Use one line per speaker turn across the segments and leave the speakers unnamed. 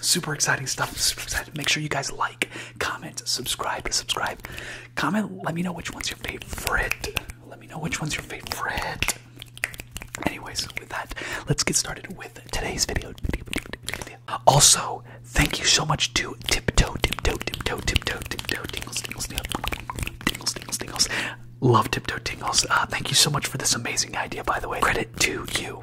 Super exciting stuff. Super excited. Make sure you guys like, comment, subscribe, subscribe. Comment, let me know which one's your favorite. Let me know which one's your favorite. Anyways, with that, let's get started with today's video. Also, thank you so much to Tiptoe, Tiptoe, Tiptoe, Tiptoe, Tiptoe, Tingles, Tingles, Tingles, Tingles, Tingles. Love Tiptoe Tingles. Uh, thank you so much for this amazing idea, by the way. Credit to you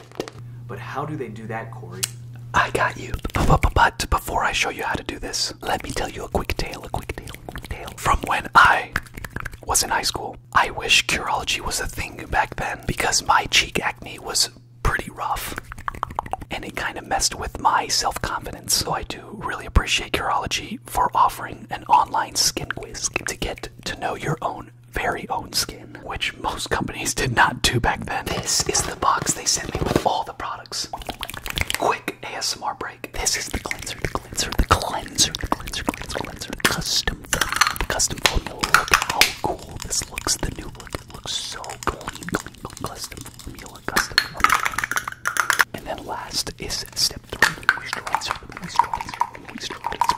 but how do they do that, Corey? I got you. But before I show you how to do this, let me tell you a quick tale, a quick tale, From when I was in high school, I wish Curology was a thing back then because my cheek acne was pretty rough and it kind of messed with my self confidence. So I do really appreciate Curology for offering an online skin quiz to get to know your own very own skin, which most companies did not do back then. This is the box they sent me with all the products. Quick ASMR break. This is the cleanser, the cleanser, the cleanser, the cleanser, cleanser, cleanser. Custom, custom formula. Look how cool this looks. The new look. It looks so clean. Custom formula, custom formula. And then last is step three. Moisturizer, moisturizer, moisturizer.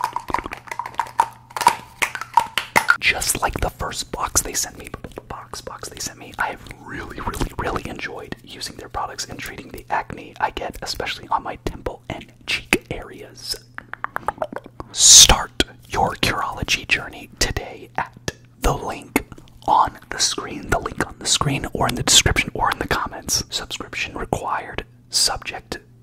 Just like the first box they sent me, the box box they sent me, I have really, really, really enjoyed using their products and treating the acne I get, especially on my temple and cheek areas. Start your Curology journey today at the link on the screen, the link on the screen, or in the description or in the comments. Subscription required, subject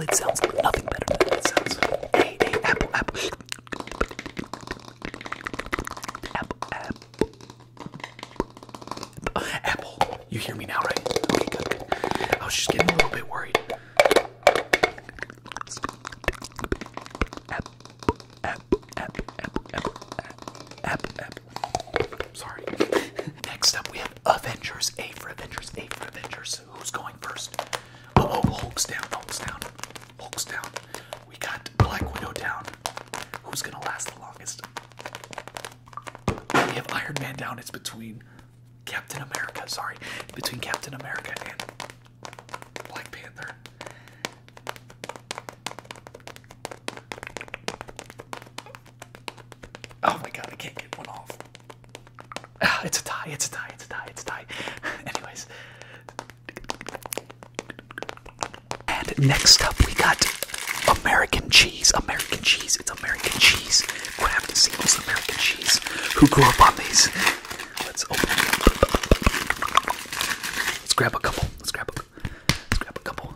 it sounds like nothing better than It sounds. Hey, hey, apple, apple. Apple, apple. Apple, you hear me now, right? Okay, good, I was just getting a little bit worried. Apple, apple, apple, apple, apple, apple, apple. Sorry. Next up, we have Avengers. A for Avengers. A for Avengers. Who's going first? Hulk's down, Hulk's down, Hulk's down. We got Black Widow down. Who's gonna last the longest? We have Iron Man down. It's between Captain America, sorry, between Captain America and Black Panther. Oh my god, I can't get one off. Ah, it's a tie, it's a tie, it's a tie, it's a tie. Anyways. And next up, we got American cheese. American cheese. It's American cheese. Grabbed singles American cheese. Who grew up on these? Let's open Let's grab a couple. Let's grab a, let's grab a couple.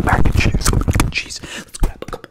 American cheese. American cheese. Let's grab a couple.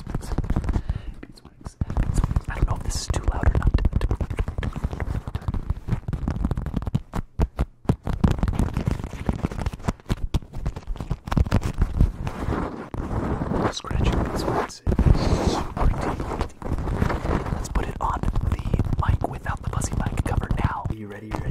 I don't know if this is too loud or not. Scratching Let's put it on the mic without the fuzzy mic cover now. Are you ready? Ready?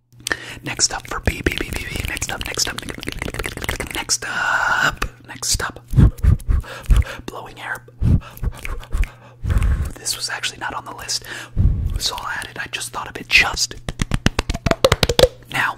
Next up for B, B, B, B, B. Next up, next up, next up, next up. Blowing air. This was actually not on the list, so I'll I just thought of it just now.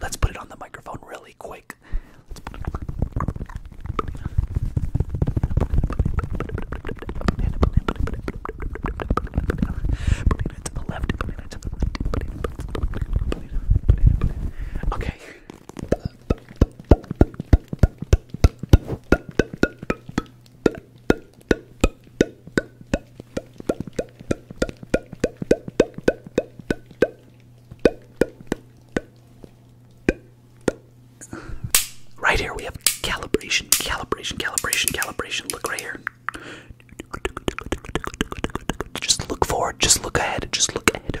Let's put it on the microphone really quick. Let's put it on to the left, to the left. Okay. Right here we have calibration, calibration, calibration, calibration. Look right here. Just look forward, just look ahead, just look ahead.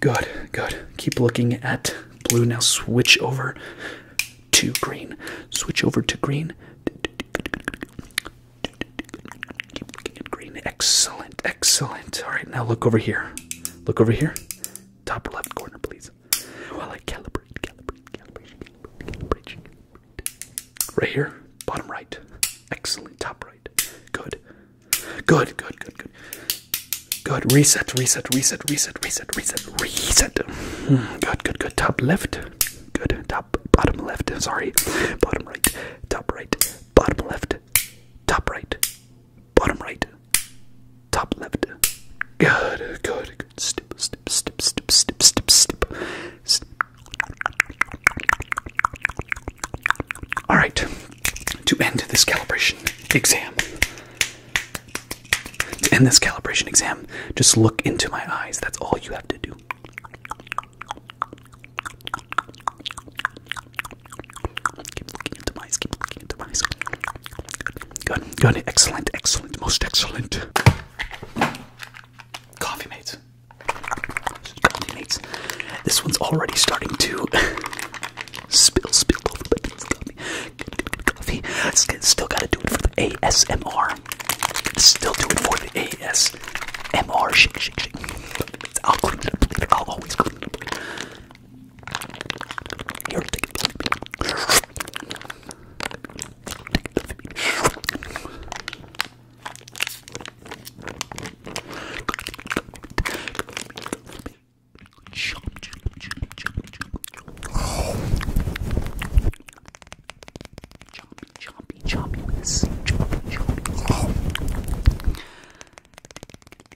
Good, good. Keep looking at blue. Now switch over to green. Switch over to green. Keep looking at green. Excellent, excellent. All right, now look over here. Look over here top left corner, please. While I calibrate, calibrate, calibration, calibration, Right here, bottom right. Excellent, top right. Good. Good, good, good, good. Good. Reset, reset, reset, reset, reset, reset, reset. Good, good, good. Top left. Good. Top, bottom left. Sorry. Bottom right. Top right. Bottom left. Top right bottom right, top left. Good, good, good. Step, step, step, step, step, step, step. All right, to end this calibration exam. To end this calibration exam, just look into my eyes. That's all you have to do. Keep looking into my eyes. Keep looking into my eyes. Good, good, excellent, excellent, most excellent. Coffee mates. Coffee mates. This one's already starting to spill, spill over, but coffee. Good, Still gotta do it for the ASMR. Still do it for the ASMR. Shake, shake, shake. always clean here, take it. Chompy, chompy, chompy, chompy, chompy.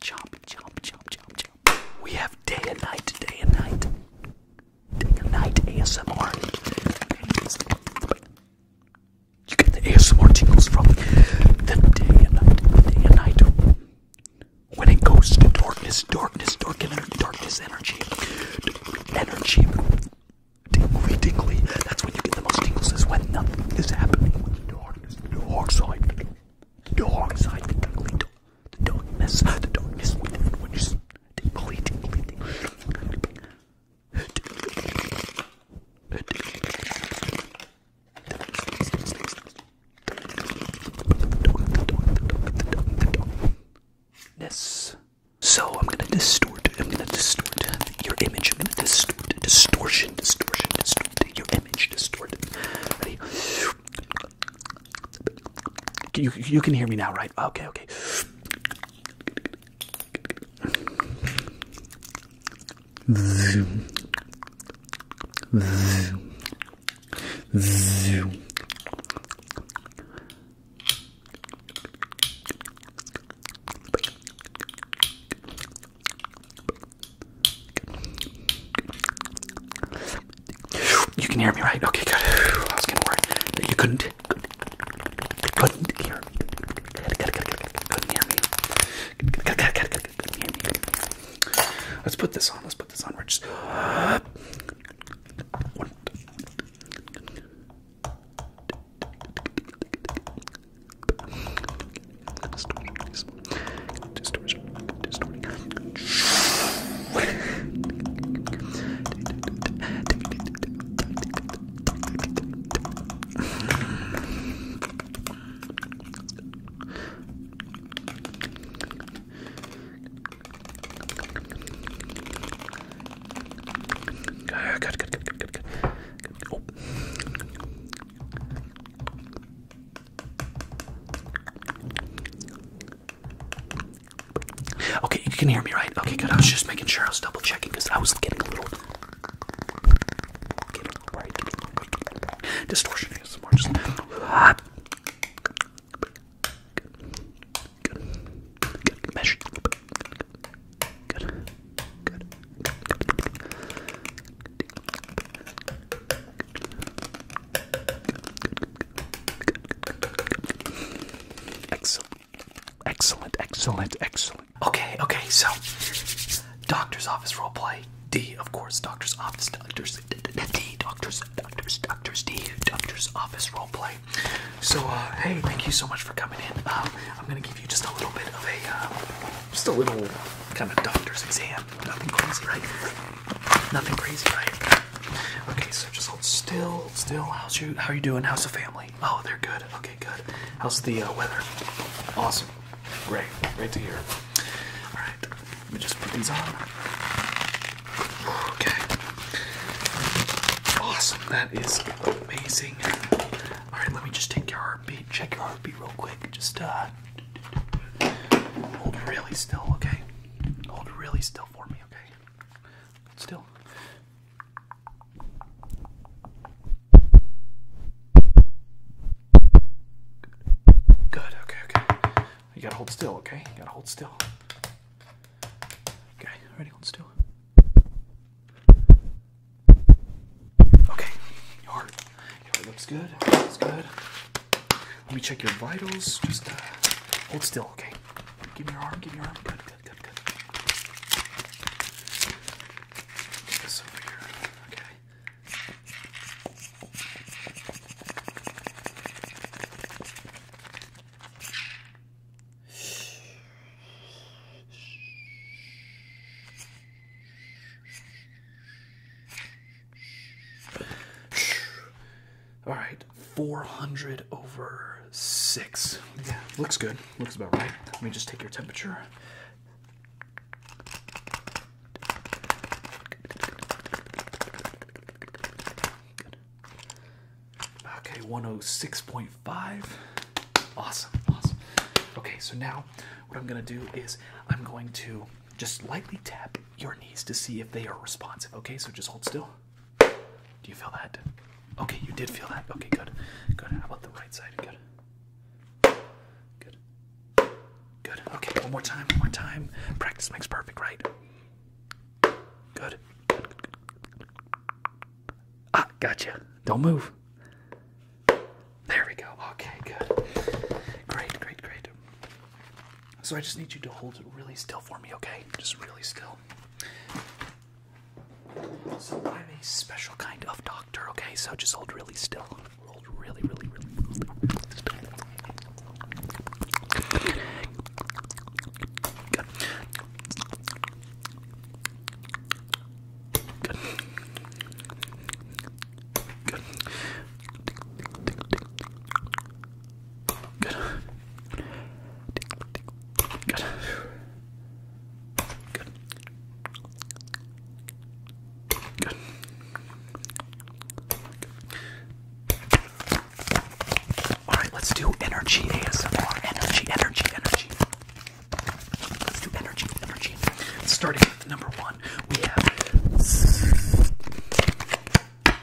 Chomp, chomp, chomp, chomp, We have day and night, day and night. Day and night ASMR. You get the ASMR tingles from the day and night, day and night. When it goes to darkness, darkness, dark energy, darkness energy, energy, tingly, tingly. That's when you get the most tingles. Is when nothing is happening. When the darkness, the dark side. Dark side, the ugly dark, the darkness, the darkness, the darkness, deeply, deeply, Yes. So I'm gonna distort. I'm gonna distort your image. I'm gonna distort, distortion, distortion, distort your image, distort. Ready? You you can hear me now, right? Okay, okay. Zoom. Zoom. Zoom. You can hear me, right? Okay, good. I was gonna worry you couldn't, couldn't, hear me. Let's put this on. Let's put this on. We're just. Distortion. Distortion. Good, good, good, good, good, good, good. Oh. Okay, you can hear me, right? Okay, good. I was just making sure I was double checking because I was getting a little, distortion is more just. Excellent. Excellent, excellent, excellent. Okay, okay, so doctor's office role play. D, of course, doctor's office, doctors, D, doctors, doctors, doctors, D, doctor's office roleplay. So, uh, hey, thank you so much for coming in. Um, I'm gonna give you just a little bit of a, uh, just a little kind of doctor's exam. Nothing crazy, right? Nothing crazy, right? Okay, so just hold still, still. How's you? How are you doing? How's the family? Oh, they're good. Okay, good. How's the uh, weather? Awesome. Great. Great to hear. All right, let me just put these on. Okay. Awesome. That is amazing. All right, let me just take your heartbeat. Check your heartbeat real quick. Just uh, Hold really still, okay? Hold really still for me, okay? still. Good, okay, okay. You gotta hold still, okay? You gotta hold still. Okay, ready, hold still. Okay, you it looks good. Looks good. Let me check your vitals. Just uh, hold still, okay? Give me your arm. Give me your arm. Good, good, good, good. this over here. Okay. All right, 400 over 6. Yeah, looks good. Looks about right. Let me just take your temperature. Okay, 106.5. Awesome, awesome. Okay, so now what I'm going to do is I'm going to just lightly tap your knees to see if they are responsive. Okay, so just hold still. Do you feel that? Okay, you did feel that. Okay, good. Good. How about the right side? Good. Good. Good. Okay, one more time. One more time. Practice makes perfect, right? Good. Ah, gotcha. Don't move. There we go. Okay, good. Great, great, great. So I just need you to hold it really still for me, okay? Just really still. So I'm a special kind of doctor, okay? So just hold really still. Hold really, really, really, still. Good. Good. Good. Good. All right, let's do energy ASMR. Energy, energy, energy. Let's do energy, energy. Starting with number one, we have all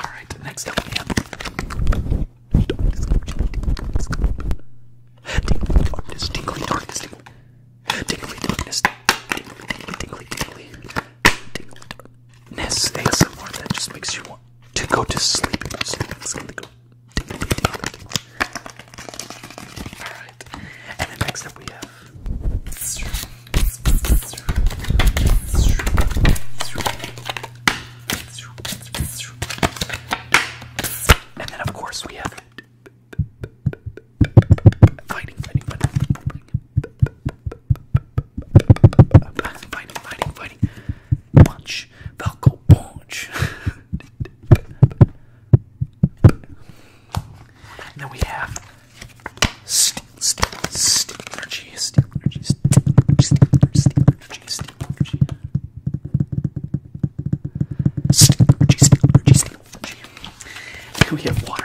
right, next up, yeah. Tingly to go to sleep. Alright. And then next up we have and then of course we have fighting, fighting, fighting, fighting, fighting, fighting, punch, Falco punch. And then we have steel, steel, steel energy, steel energy, steel energy, steel energy, steel energy, steel energy, steel energy, steel energy, steel energy. And we have water.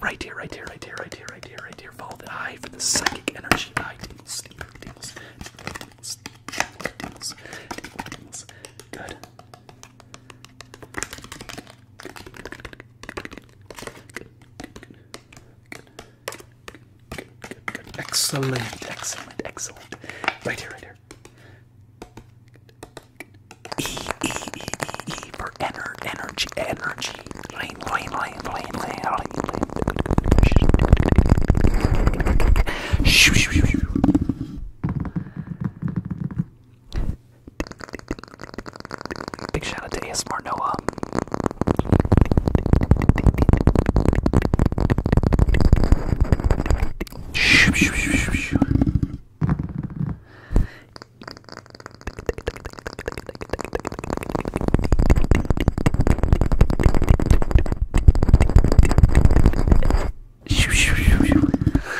Right here, right here, right here, right here, right here, right here. Follow the eye for the psychic energy. Eye tingles, tingles, tingles, tingles, tingles. Good. Excellent, excellent, excellent. Right here, right here. E, E, E, E, E for ener, energy, energy. Lane, lane, lane, lane, lane, lane. Shoo, shoo, shoo, shoo. Big shout out to ASMR Noah.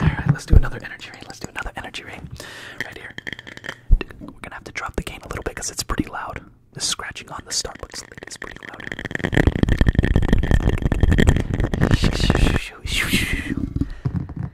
Alright, let's do another energy rain. Let's do another energy rain. Right here. We're gonna have to drop the gain a little bit because it's pretty loud. The scratching on the Starbucks lid is pretty loud.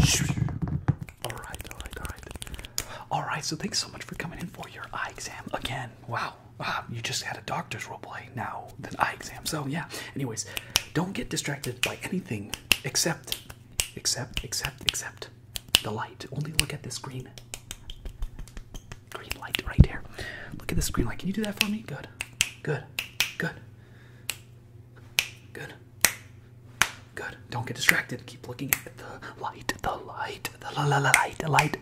All right, all right, all right. All right, so thanks so much for coming in for your eye exam again. Wow. Uh, you just had a doctor's role play now, than eye exam. So yeah. Anyways, don't get distracted by anything except, except, except, except the light. Only look at this green, green light right here. Look at this green light. Can you do that for me? Good, good, good, good, Good. Don't get distracted. Keep looking at the light, the light, the la la la light, the light.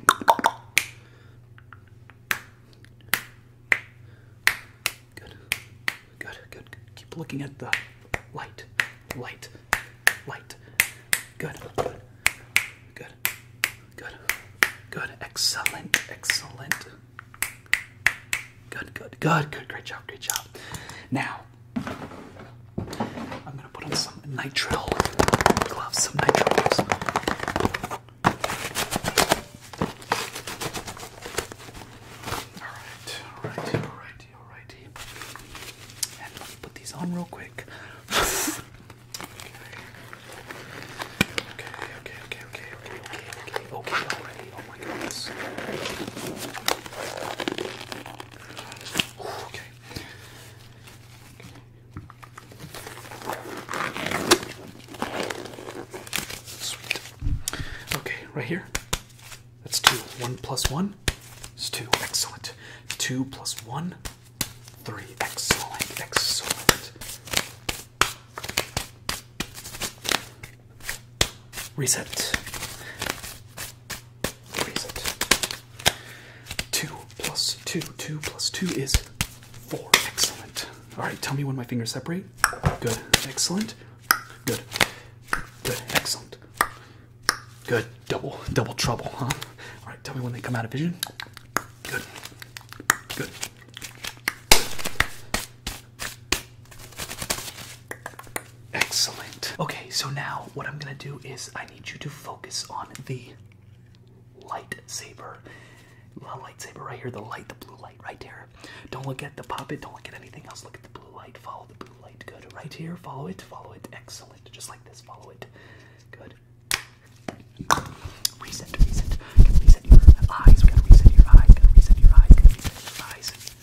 Good. Good, good, Keep looking at the light, light, light. good, good, good, good. Excellent, excellent. Good, good, good, good. Great job, great job. Now, I'm gonna put on some nitrile gloves, some nitrile gloves. Alright, alright, alright, alright. And let me put these on real quick. okay. Okay, okay, okay, okay, okay, okay, okay, okay, Oh okay, right here. That's two. One plus one is two. Excellent. Two plus one, three. Excellent. Excellent. Reset. Reset. 2 plus 2. 2 plus 2 is 4. Excellent. Alright, tell me when my fingers separate. Good. Excellent. Good. Good. Excellent. Good. Double. Double trouble, huh? Alright, tell me when they come out of vision. Good. Good. Excellent. Okay, so now what I'm gonna do is I need you to focus on the lightsaber. The lightsaber right here, the light, the blue light right there. Don't look at the puppet, don't look at anything else. Look at the blue light, follow the blue light. Good. Right here, follow it, follow it. Excellent. Just like this, follow it. Good. Reset, reset. reset your eyes, gotta reset your eyes, gotta reset your eyes, gotta reset your eyes.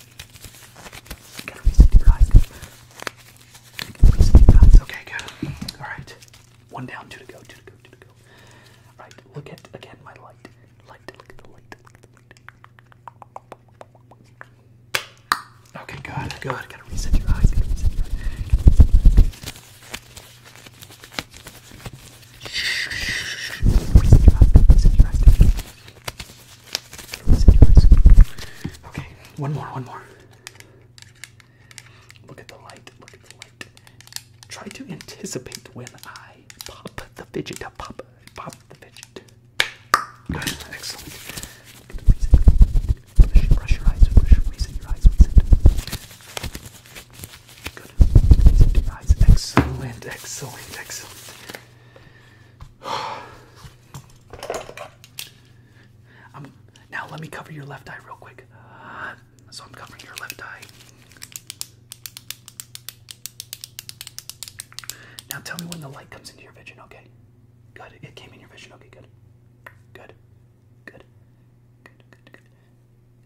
Okay, good. Alright. One down, two to go, two to go, two to go. Alright, look at again my light. Light, look at the light, Okay, good, good. Gotta reset your eyes. Gotta Reset your eyes. Okay, one more, one more. Look at the light, look at the light. Try to anticipate when I pop the fidget, pop, pop the fidget. Good, excellent. Brush, your eyes, brush, your eyes, excellent, excellent, excellent. Um, now let me cover your left eye real quick. so I'm covering your left eye. Now tell me when the light comes into your vision, okay? Good. It came in your vision, okay, good. Good. Good. Good.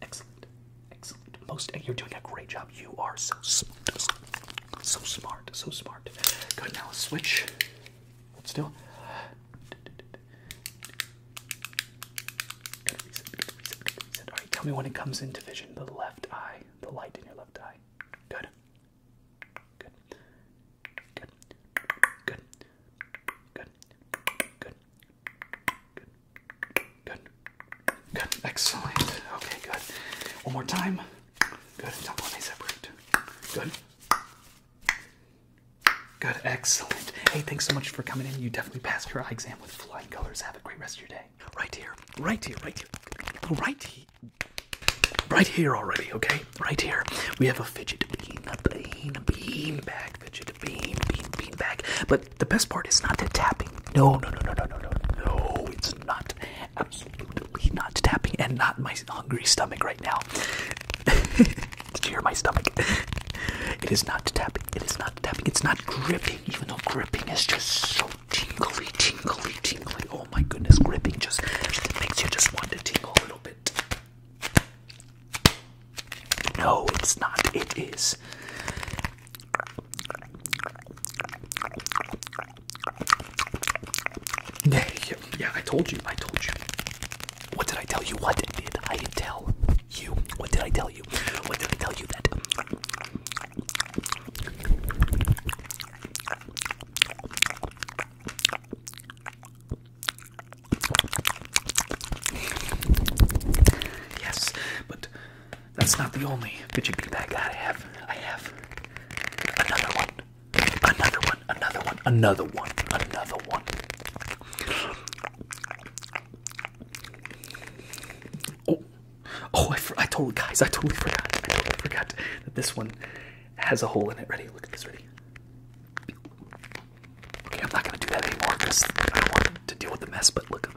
Excellent. Excellent. Most you're doing a great job. You are so smart. So smart, so smart. Good, now let's switch. Hold still. All right, tell me when it comes into vision, the left eye, the light in your left eye. Good. Good. Good. Good. Good. Good. Good. Good. Good. Excellent. Okay, good. One more time. Good. Don't let me separate. Good. Good. Excellent. Hey, thanks so much for coming in. You definitely passed your exam with flying colors. Have a great rest of your day. Right here. Right here. Right here. Right here. Right here already, okay? Right here. We have a fidget bean, a bean, a bean bag, fidget bean, bean, bean bag. But the best part is not the tapping. no, no, no, no, no, no, no. It's not absolutely not tapping and not my hungry stomach right now. Did you hear my stomach? It is not tapping. It is not tapping. It's not gripping, even though gripping is just so tingly, tingly, tingly. Oh my goodness, gripping just makes you just want to tingle a little bit. No, it's not. It is. Yeah, yeah, I told you. I told you. What did I tell you? What did I tell you? What did I tell you? What did I tell you that? Yes, but that's not the only fidget bag that I have. I have another one. Another one. Another one. Another one. Another one. Oh, oh! I, I totally, guys, I totally forgot. I totally forgot that this one has a hole in it. Ready? Look at this. Ready? Okay, I'm not gonna do that anymore because I don't want to deal with the mess. But look.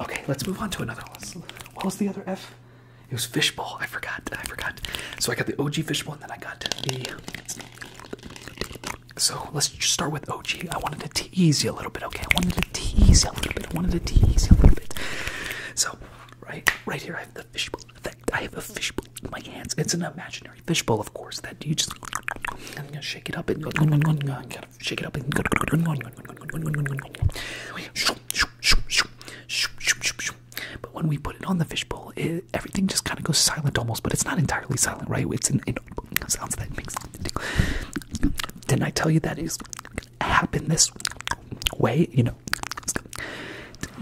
Okay, let's move on to another one. What was the other F? It was fishbowl. I forgot. I forgot. So I got the OG fishbowl, and then I got the. So let's just start with OG. I wanted to tease you a little bit. Okay, I wanted to tease you a little bit. I wanted to tease you a little bit. So right, right here I have the fishbowl that I have a fishbowl in my hands. It's an imaginary fishbowl, of course, that you just I'm gonna shake it up and gotta shake it up and but when we put it on the fishbowl, it, everything just kind of goes silent almost, but it's not entirely silent, right? It's an it sounds that makes Didn't I tell you that is happen this way? You know,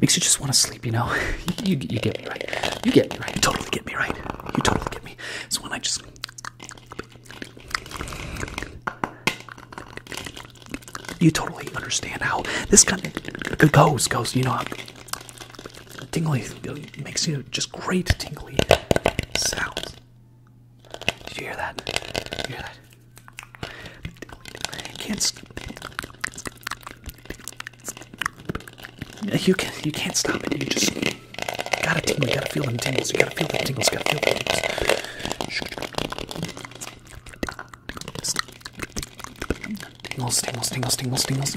Makes you just want to sleep, you know. you, get me right. You get me right. You totally get me right. You totally get me. It's when I just. You totally understand how this kind of goes, goes. You know, tingly makes you just great tingly sounds. Did you hear that? you hear that? You can't you can you can't stop it. You just gotta tingle. You gotta feel the tingles. You gotta feel the tingles. You gotta feel them tingles. Tingles, tingles.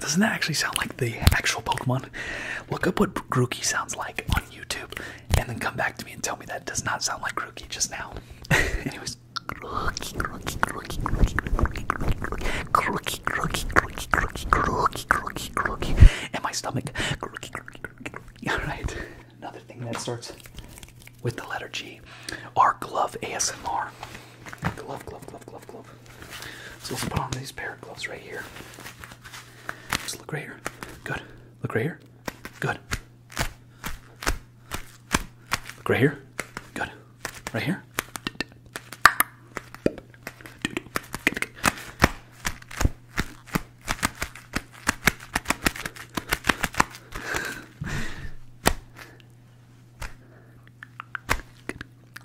Doesn't that actually sound like the actual Pokemon? Look up what Grookey sounds like on YouTube and then come back to me and tell me that does not sound like Grookey just now. Anyways, and my stomach. All right. Another thing that starts with the letter G. Our glove ASMR. Glove, glove, glove, glove, glove. So let's put on these pair of gloves right here. Just look right here. Good. Look right here. Good. Look right here. Good. Right here.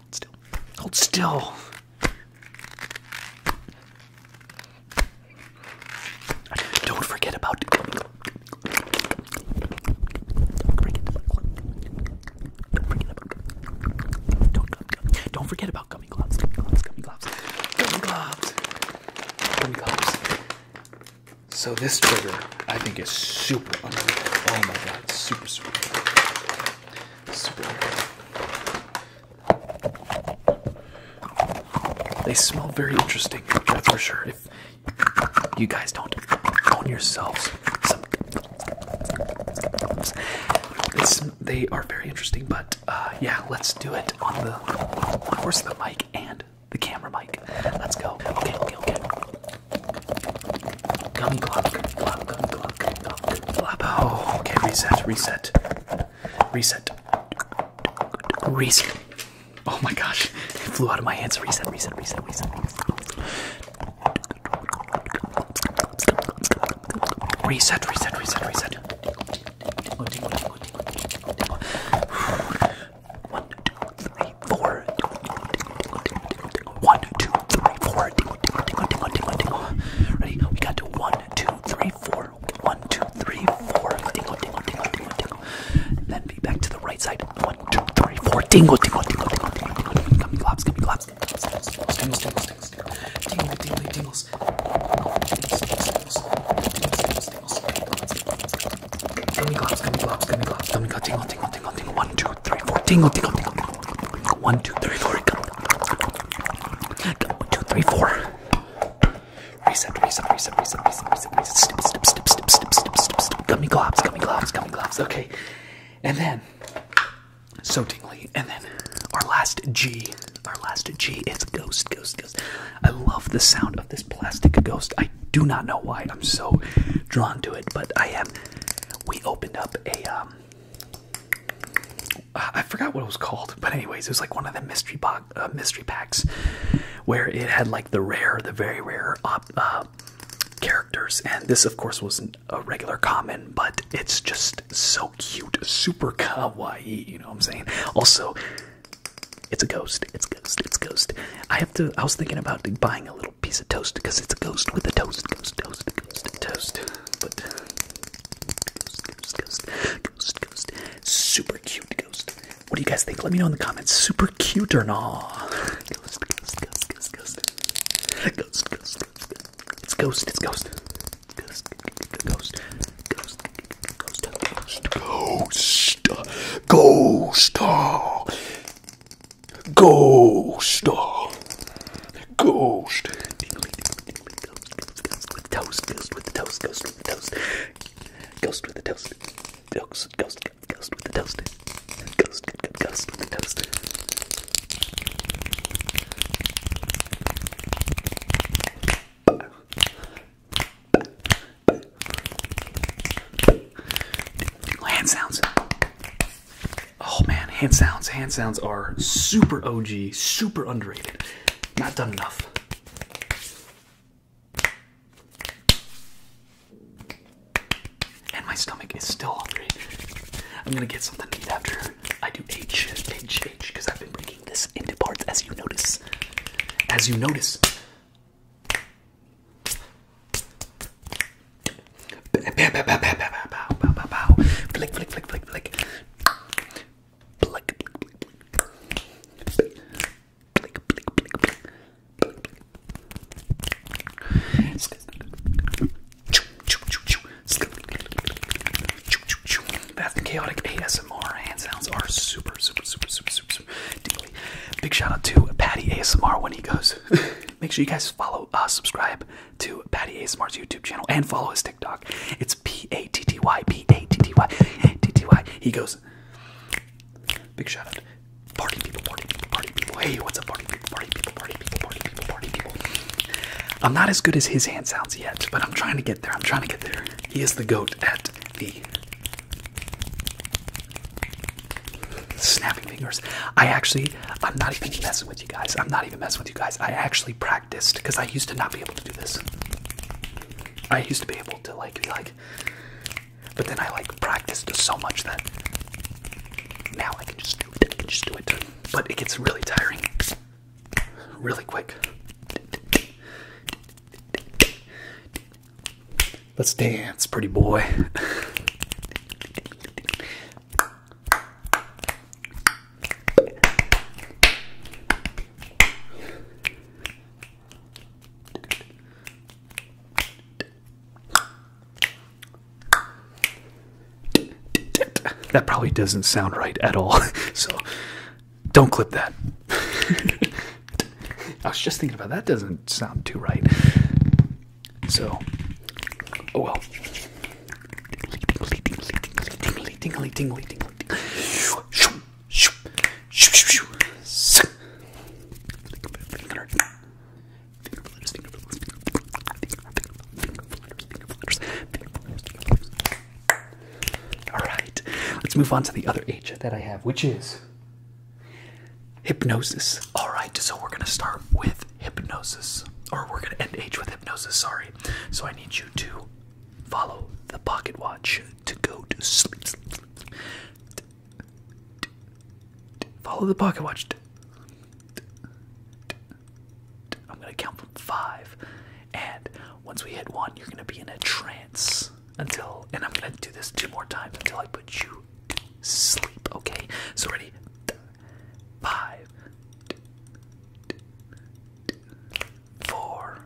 Hold still. Hold still. Don't forget about Don't forget about gummy gloves, So this trigger, I think, is super underrated. Oh my god, super, sweet. super They smell very interesting, that's for sure. You guys don't own yourselves some. It's, they are very interesting, but uh, yeah, let's do it on the horse, the mic, and the camera mic. Let's go. Okay, okay, okay. Gummy clock, clock, clock, clock, clock. Oh, okay, reset, reset, reset. Reset. Oh my gosh, it flew out of my hands. Reset, reset, reset, reset. Reset, reset, reset, reset. One, two, three, four. One, two, three, four. Ready? We got to one, two, three, four. One, two, three, four. Dingle, dingle, dingle, dingle, dingle. And then be back to the right side. One, two, three, four. Dingle, dingle, dingle, dingle, dingle, dingle, dingle. Gummy globs, gummy globs, gummy globs, gummy globs, gummy globs, gummy globs, Dingle, dingle, dingles. Gummy globs, gummy globs, gummy globs, gummy globs. Dingle, dingle, dingle, dingle. One, two, three, four. Dingle, dingle, dingle, dingle. One, two, three, four. One, two, three, four. Reset, reset, reset, reset, reset, reset, reset. Snip, snip, snip, snip, snip, snip, snip, snip. Gummy globs, gummy globs, gummy globs. Okay. And then, so tingly. And then our last G, our last G is ghost, ghost, ghost. I love the sound of this plastic ghost. I do not know why I'm so drawn to it, but I am. We opened up a, um, I forgot what it was called, but anyways, it was like one of the mystery box box uh, mystery packs where it had like the rare, the very rare op, uh, characters, and this of course wasn't a regular common, but it's just so cute, super kawaii. You know what I'm saying? Also, it's a ghost. It's a ghost. It's a ghost. I have to. I was thinking about buying a little piece of toast because it's a ghost with a toast, ghost, toast, ghost, toast, but. Ghost, ghost, ghost, ghost, super cute what do you guys think? Let me know in the comments. Super cute or not? Ghost, ghost, ghost, ghost, ghost. Ghost, ghost, ghost. It's ghost, it's ghost. Ghost, ghost, ghost, ghost, ghost, ghost, ghost, ghost, ghost. Dingly, dingly, dingly, ghost, ghost, ghost, with the toast, ghost with the toast, ghost with the toast, ghost with the toast, ghost, ghost, ghost, with the toaster. Ghost, ghost, ghost with the toaster. hand sounds. Oh man, hand sounds. Hand sounds are super OG, super underrated. Not done enough. And my stomach is still hungry. I'm gonna get something to eat after I do H, H, H, because I've been breaking this into parts as you notice. As you notice. That's the chaotic ASMR. Hand sounds are super, super, super, super, super, super Big shout out to Patty ASMR when he goes. Make sure you guys follow, uh, subscribe to Patty ASMR's YouTube channel and follow his TikTok. It's P A T T Y P A T T Y T T Y. He goes. Big shout out. Party people, party people, party people. Hey, what's up, party people, party people, party people, party people, party people. I'm not as good as his hand sounds yet, but I'm trying to get there. I'm trying to get there. He is the goat at the snapping fingers. I actually, I'm not even messing with you guys. I'm not even messing with you guys. I actually practiced because I used to not be able to do this. I used to be able to like be like but then I like practiced so much that now I can just do it. just do it. But it gets really tiring really quick. Let's dance, pretty boy. That probably doesn't sound right at all, so don't clip that. I was just thinking about that, doesn't sound too right. So, oh well. Tingly, tingly, tingly, tingly, tingly, tingly. All right, let's move on to the other H that I have, which is hypnosis. All right, so we're gonna start with hypnosis, or we're gonna end H with hypnosis. Sorry. So I need you to follow the pocket watch to go to sleep. sleep, sleep. Follow the pocket watch. I'm gonna count from five, and once we hit one, you're gonna be in a trance until. And I'm gonna do this two more times until I put you to sleep. Okay. So ready? Five, four,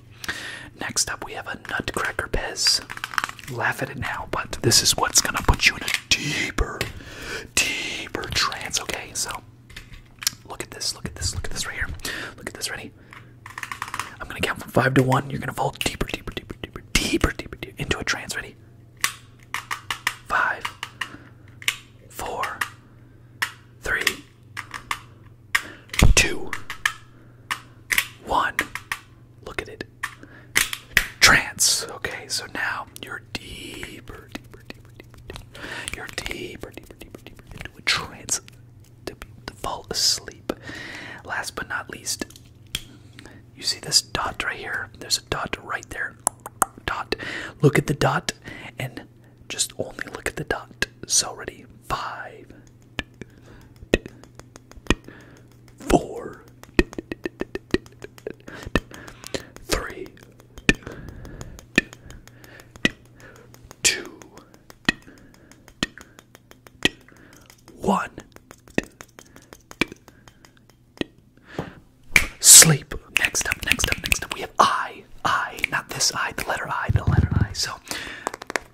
Next up, we have a Nutcracker Pez. Laugh at it now, but this is what's gonna put you in a deeper, deeper trance. Okay, so look at this, look at this, look at this right here. Look at this, ready? I'm gonna count from five to one. You're gonna fall deeper, deeper, deeper, deeper, deeper, deeper into a trance. Ready? Five, four, three, two, one. Look at it. Trance. Okay, so now you're deeper, deeper, deeper, deeper. deeper. You're deeper, deeper, deeper, deeper into a trance to, to fall asleep. Last but not least, you see this dot right here? There's a dot right there. Dot. Look at the dot and just only look at the dot. So, ready? Five, four, three, two, one. Sleep. Next up, next up, next up, we have I. I, not this I, the letter I, the letter I. So,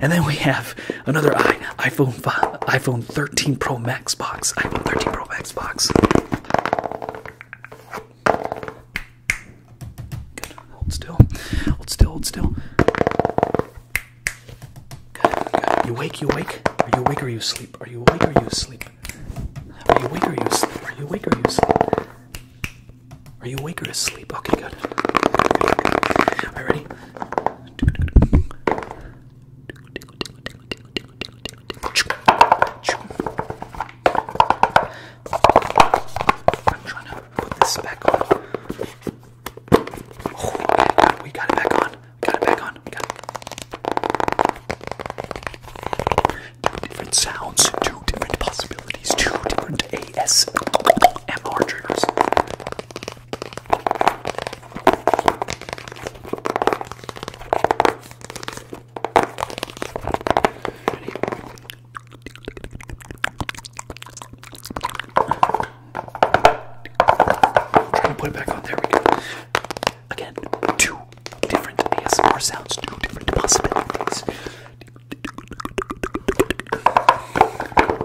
and then we have another iPhone iPhone 13 Pro Max box. iPhone 13 Pro Max box. Hold still. Hold still. Hold still. Good. You wake. You wake. Are you awake or you sleep? Are you awake or you sleep? Are you awake or you sleep? Are you awake or you asleep? Are you awake or asleep? Okay, good. All right, ready? I'm trying to put this back on. Oh, we got it back on. We got it back on. We got it. Two different sounds, two different possibilities, two different ASMR triggers. Trying to put it back on. There we go. Again, two different ASMR sounds, two different possibilities.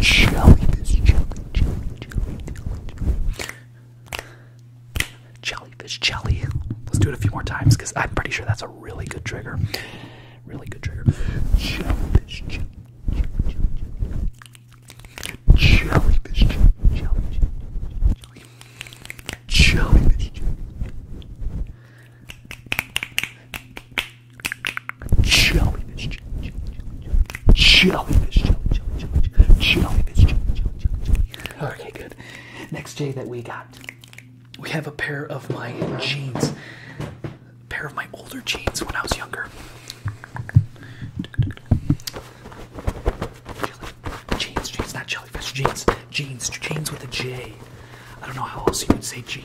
Jellyfish, jelly, jelly, jelly, jelly. Jellyfish, jelly. Let's do it a few more times because I'm pretty sure that's a really good trigger. Really good trigger. Jellyfish, jelly, jelly, jelly. Jellyfish, jelly, jelly, jelly. Jellyfish, jelly. Jellyfish, jellyfish, jellyfish, jellyfish. Okay, good. Next J that we got, we have a pair of my jeans, a pair of my older jeans when I was younger. Jelly, jeans, jeans, not jellyfish, jeans, jeans, jeans with a J. I don't know how else you would say jeans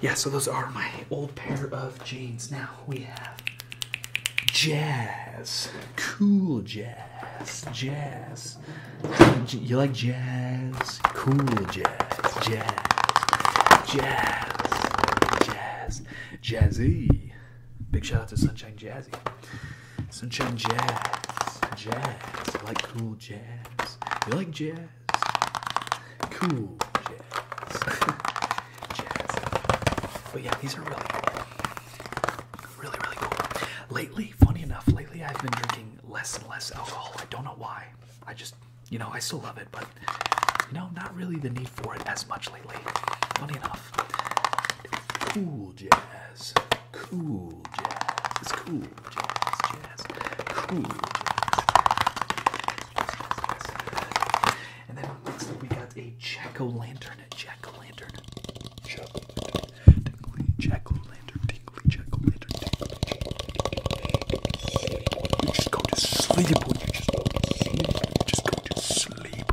yeah, so those are my old pair of jeans. Now we have jazz, cool jazz, jazz. You like jazz, cool jazz, jazz, jazz, jazz, jazzy. Big shout out to Sunshine Jazz jazzy. Sunshine jazz, jazz. I like cool jazz. You like jazz? Cool jazz. But yeah, these are really Really, really cool. Lately, funny enough, lately I've been drinking less and less alcohol. I don't know why. I just, you know, I still love it, but you know, not really the need for it as much lately. Funny enough. Cool jazz, cool jazz, it's cool jazz, jazz, cool jazz. And then next up we got a jack o' lantern, jack o' lantern, jack o' lantern, tingly jack o' lantern, tingly jack o' lantern, You just go to sleep when you just go to sleep. You just go to sleep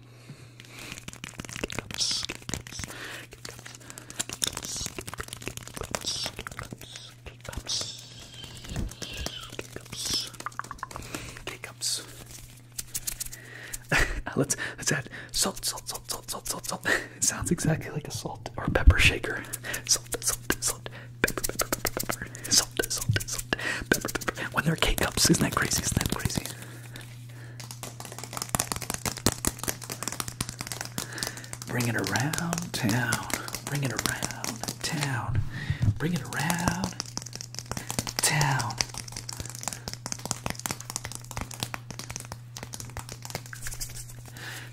let's let's add salt, salt, salt, salt, salt, salt, salt. It sounds exactly like a salt or pepper shaker. Salt, salt, salt, pepper, pepper, pepper, pepper. Salt, salt, salt, pepper, pepper. When they're K cups, isn't that crazy? Isn't that crazy? Bring it around town. Bring it around town. Bring it around town.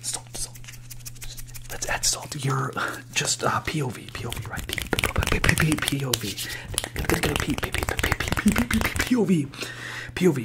Salt, salt. Let's add salt. You're just uh, POV, POV, right? POV. POV. POV.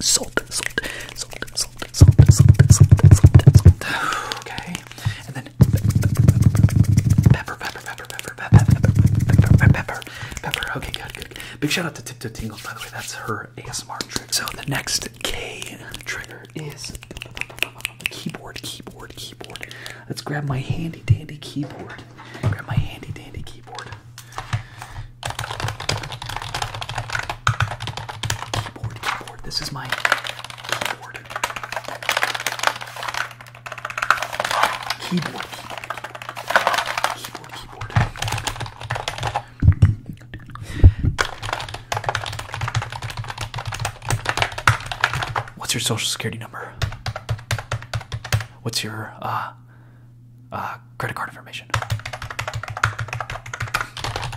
Salt, salt, salt, salt, salt, salt, salt, salt, salt. Okay, and then pepper, pepper, pepper, pepper, pepper, pepper, pepper, pepper, pepper. Okay, good, good. Big shout out to Tiptoe Tingle, by the way. That's her ASMR trigger. So the next K trigger is keyboard, keyboard, keyboard. Let's grab my handy dandy keyboard. Grab my handy dandy keyboard. Keyboard, keyboard. This is my keyboard. Keyboard, keyboard, keyboard, keyboard. What's your social security number? What's your uh, uh, credit card information.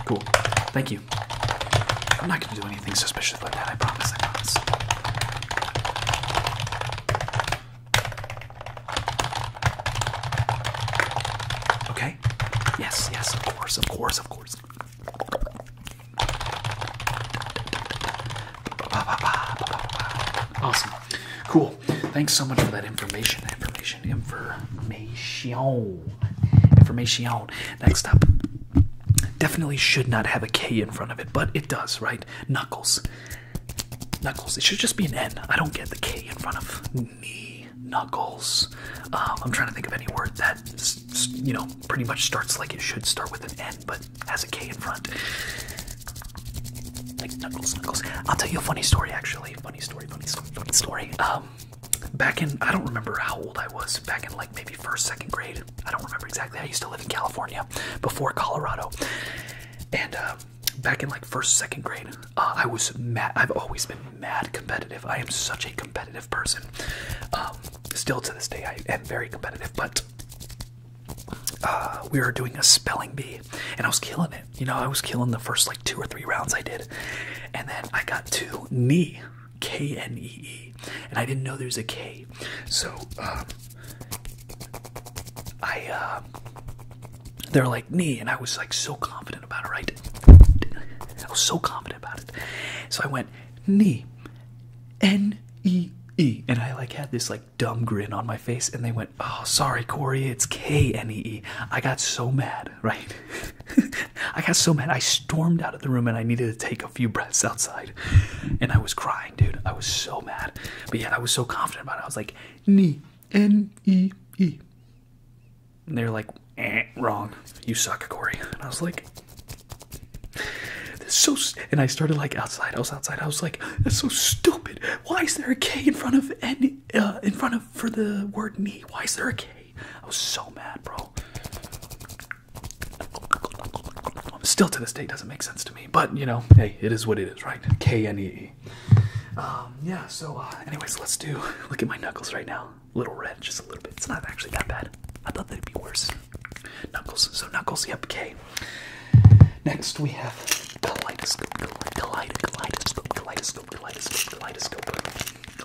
Cool. Thank you. I'm not going to do anything suspicious like that. I promise. I promise. Okay. Yes. Yes. Of course. Of course. Of course. Awesome. Cool. Thanks so much for that information. Information. Information information. Next up, definitely should not have a K in front of it, but it does, right? Knuckles. Knuckles. It should just be an N. I don't get the K in front of knee. Knuckles. Um, I'm trying to think of any word that, you know, pretty much starts like it should start with an N, but has a K in front. Like knuckles, knuckles. I'll tell you a funny story, actually. Funny story, funny story, funny story. Um, back in I don't remember how old I was back in like maybe first second grade I don't remember exactly I used to live in California before Colorado and uh, back in like first second grade uh, I was mad I've always been mad competitive I am such a competitive person um, still to this day I am very competitive but uh, we were doing a spelling bee and I was killing it you know I was killing the first two or three rounds I did. And then I got to knee, K N E E. And I didn't know there's a K. So um, I, um, they're like knee. And I was like so confident about it, right? I was so confident about it. So I went knee, N E E. And I like had this like dumb grin on my face. And they went, oh, sorry, Corey, it's K N E E. I got so mad right? I got so mad. I stormed out of the room and I needed to take a few breaths outside. And I was crying, dude. I was so mad. But yeah, I was so confident about it. I was like, knee, N E E. And they're like, eh, wrong. You suck, Corey. And I was like, this so. And I started like outside. I was outside. I was like, that's so stupid. Why is there a K in front of N, uh, in front of for the word knee? Why is there a K? I was so mad, bro. Still to this day doesn't make sense to me, but you know, hey, it is what it is, right? K N E. Um, yeah. So, uh, anyways, let's do. Look at my knuckles right now. Little red, just a little bit. It's not actually that bad. I thought they'd be worse. Knuckles. So knuckles. Yep. K. Next we have kaleidoscope, kaleidoscope, kaleidoscope, kaleidoscope, kaleidoscope, kaleidoscope,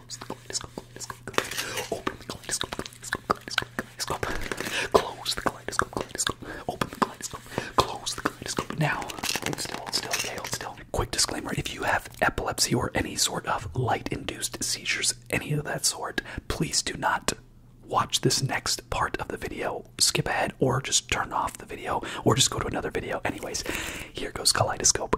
Open the kaleidoscope, Close the kaleidoscope, kaleidoscope. Now, still, still, still. Quick disclaimer if you have epilepsy or any sort of light induced seizures, any of that sort, please do not watch this next part of the video. Skip ahead or just turn off the video or just go to another video. Anyways, here goes Kaleidoscope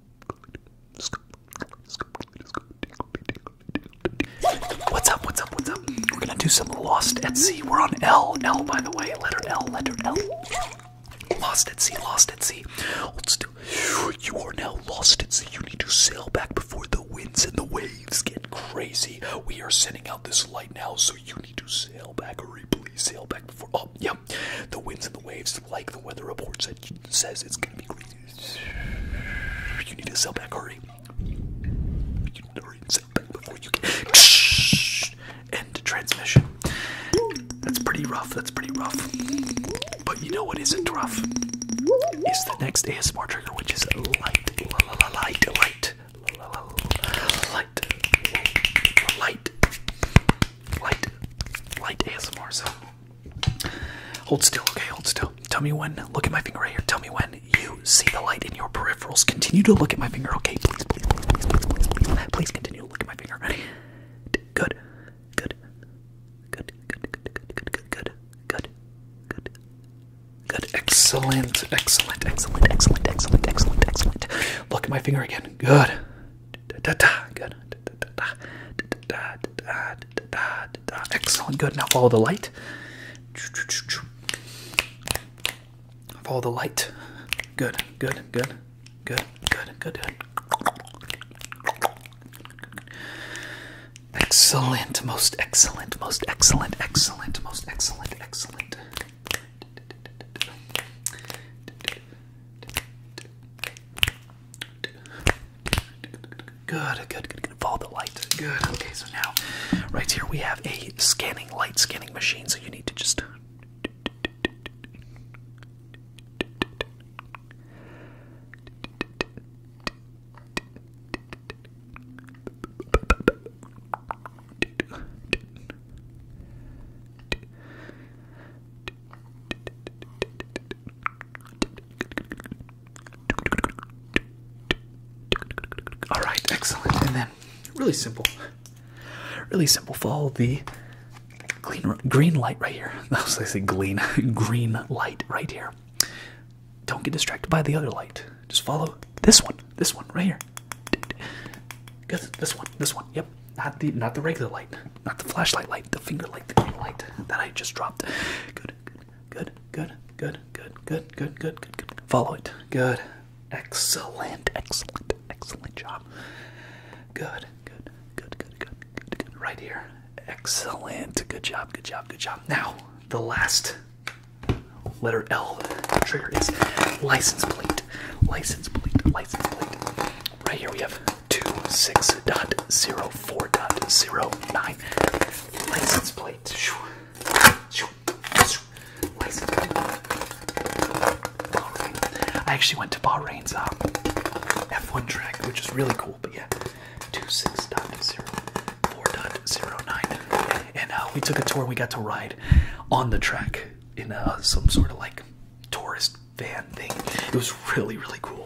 What's up? What's up? What's up? We're gonna do some Lost at Sea. We're on L. L, by the way. Letter L. Letter L. Lost at sea. Lost at sea. You are now lost at sea. You need to sail back before the winds and the waves get crazy. We are sending out this light now, so you need to sail back. Hurry, please sail back before. Oh, The winds and the waves, like the weather report said, says it's gonna be crazy. You need to sell back, hurry. You need to hurry and sell back before you get. End transmission. That's pretty rough, that's pretty rough. But you know what isn't rough? Is the next ASMR trigger, which is light, light, light, light, light, light, light ASMR. So Hold still, okay? Hold still. Tell me when. Look at my finger right here. Tell me when you see the light in your peripherals. Continue to look at my finger, okay? Please, please, please, please, please, please, continue to look at my finger. Good. Good. Good. Good. Good. Good. Good. Good. Good. Good. Good. Excellent. Excellent. Excellent. Excellent. Excellent. Excellent. Excellent. Look at my finger again. Good. Da da da. Good. Da da da. Da da da. Excellent, good. Now follow the light. Follow the light. Good, good, good, good, good, good, good. Excellent, most excellent, most excellent, excellent, most excellent, excellent. Good, good, good, good. Follow the light. Good. Okay, so now, right here we have a scanning light scanning machine. So you need to just. All right, excellent. And then really simple, really simple. Follow the clean green light right here. That was I say green green light right here. Don't get distracted by the other light. Just follow this one, this one right here. This one, this one. Yep, not the not the regular light, not the flashlight light, the finger light, the green light that I just dropped. good, Good, good, good, good, good, good, good, good, good. Follow it. Good. Excellent, excellent, excellent job. Good, good, good, good, good, good, good. Right here. Excellent. Good job, good job, good job. Now, the last letter L trigger is license plate. License plate, license plate. Right here we have 26.05. 4.09 license plate. License plate. I actually went to Bahrain's um, F1 track, which is really cool, but yeah. 26.0, 4.09. And uh, we took a tour, we got to ride on the track in uh, some sort of like tourist van thing. It was really, really cool.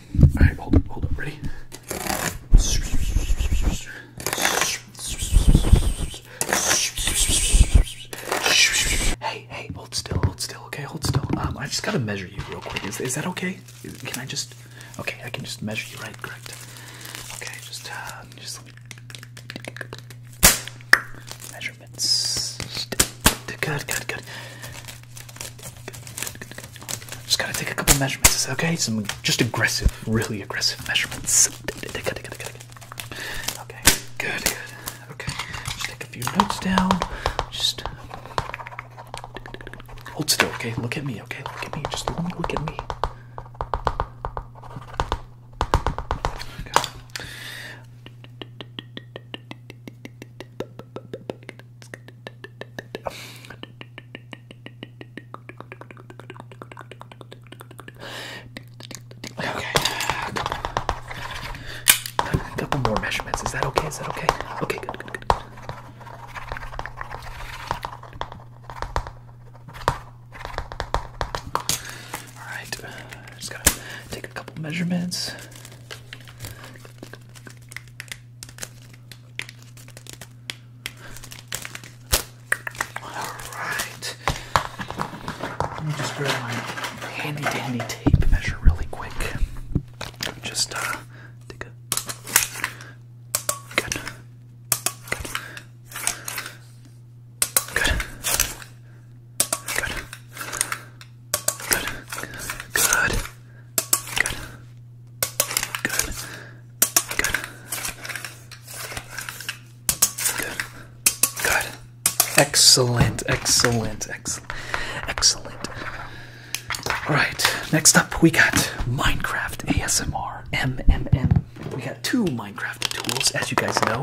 All right, hold up, hold up, ready? Hey, hey, hold still, hold still, okay, hold still. Um, I just gotta measure you real quick. Is, is that okay? Can I just? Okay, I can just measure you, right? Correct. Okay, just, uh, just Measurements. Good, good, good. Just gotta take a couple measurements, is that okay? Some just aggressive, really aggressive measurements. Okay, good, good. Okay, just take a few notes down. Just hold still, okay? Look at me, okay? Look at me. Just look at me. Okay. Okay. A couple more measurements. Is that okay? Is that okay? Okay, good, good, good. Alright, just gotta take a couple measurements. Alright. Let me just grab my handy dandy tape measure really quick. Just uh take Good. Good. Good. Good. Good. Good. Good. Good. Good. Good. Excellent. Excellent. Excellent. Excellent. Alright, next up we got Minecraft ASMR. MMM. We got two Minecraft tools, as you guys know.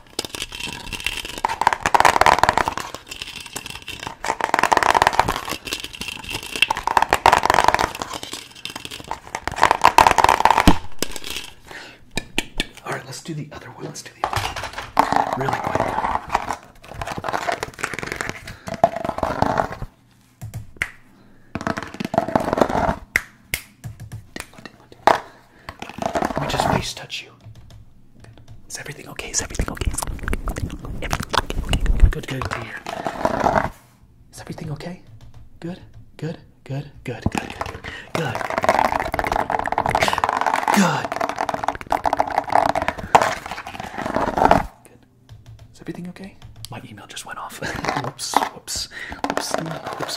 All right, let's do the other one. Let's do the other one. Really quick tingle, tingle, tingle. Let me just face touch you. Good. Is everything okay? Is everything okay? Is everything okay? Good, good, good. Here. Is everything okay? Good, good, good, good, good, good, good, good. Good. Good. Is everything okay? My email just went off. whoops, whoops, whoops, whoops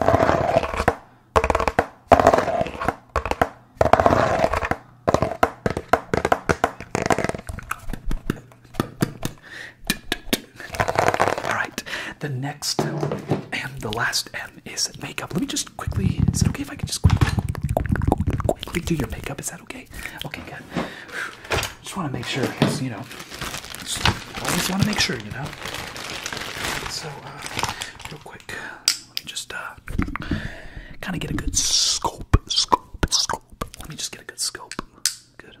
All right, the next and the last M is makeup. Let me just quickly. Is it okay if I can just quickly, do your makeup? Is that okay? Okay, good. Just want to make sure, you know, always want to make sure, you know. So, uh, real quick, let me just uh, kind of get a good scope, scope, scope. Let me just get a good scope. Good,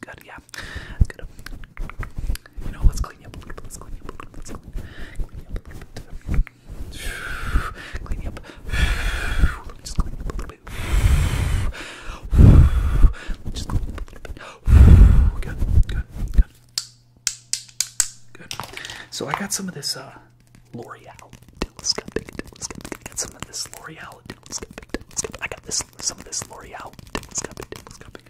good, yeah, good. You know, let's clean you up a little bit. Let's clean you up a little bit. Let's clean up clean up Let me just clean up a little bit. Good, good, good. Good. So I got some of this uh, L'Oreal telescopic, telescopic. I got some of this L'Oreal telescopic, telescopic. I got this some of this L'Oreal telescopic, telescopic.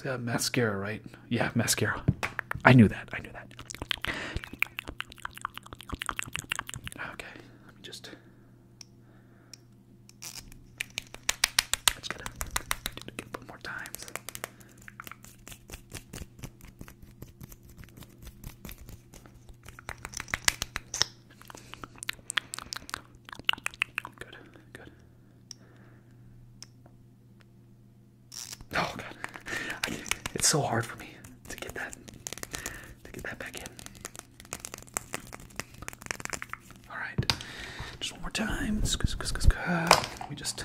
It's a uh, mascara, right? Yeah, mascara. I knew that. I knew that. Okay, let me just. I just gotta do it a couple more times. Good, good. Oh god, it's so hard for me to get that to get that back in. All right, just one more time. We just.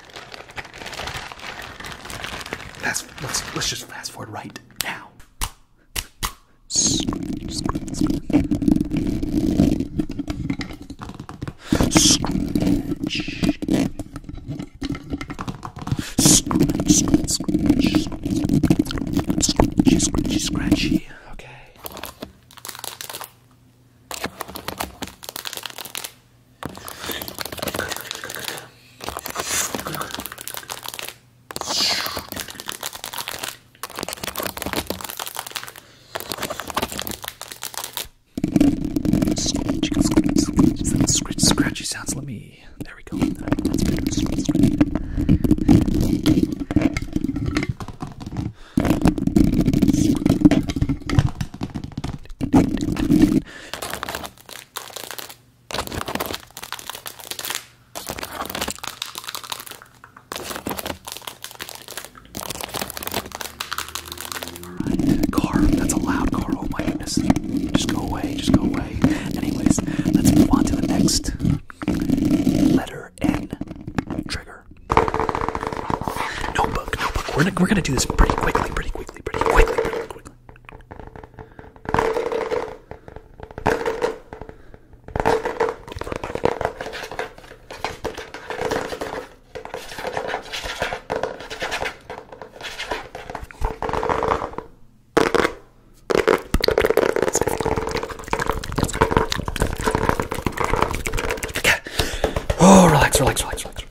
Let's, let's, let's just fast forward right now. Scratch. Scratch, scratch, scratch, scratchy, scratchy, scratchy. Okay. Scratchy, scratchy, scratchy, scratchy sounds. Let me. There we go. That's good. Scratch, scratch. Alright, car. That's a loud car. Oh my goodness. Just go away. Just go away. Anyways, let's move on to the next letter N trigger. Notebook, notebook. We're gonna, we're gonna do this pretty quickly, pretty quickly, pretty quickly, pretty quickly. Oh, relax, relax, relax, relax.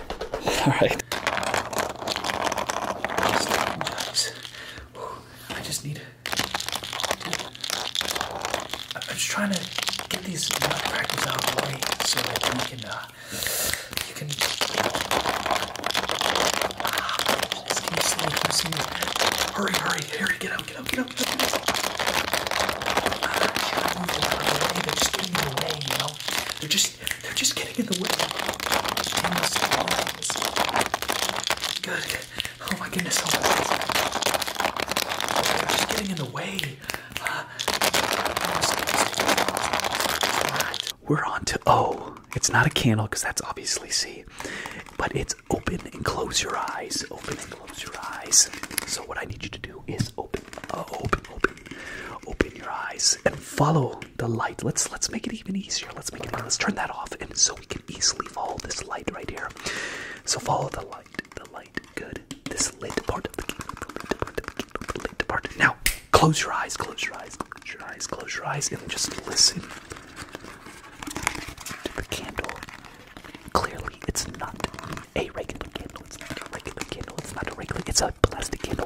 All right. I just need I'm just trying to get these nutcrackers out of the way so that you can, uh, you can. Ah, Hurry, hurry, hurry, get up, get up, get up, get out ah, They're just getting in the way, you know? They're just just, they're just getting in the way. Good. Oh my goodness. Oh my goodness. They're just getting in the way. Uh, we're on to O. Oh, it's not a candle because that's obviously C, but it's open and close your eyes. Open and close your eyes. So what I need you to do is open, uh, open, open, open your eyes and follow the light. Let's let's make it even easier. Let's make it. Let's turn that off, and so we can easily follow this light right here. So follow the light. The light. Good. This lit part of the kingdom. part of the kingdom. Now close your eyes. Close your eyes. Close your eyes. Close your eyes, and just listen to the candle. Clearly, it's not a regular candle. It's not a regular candle. It's not a regular. It's a plastic candle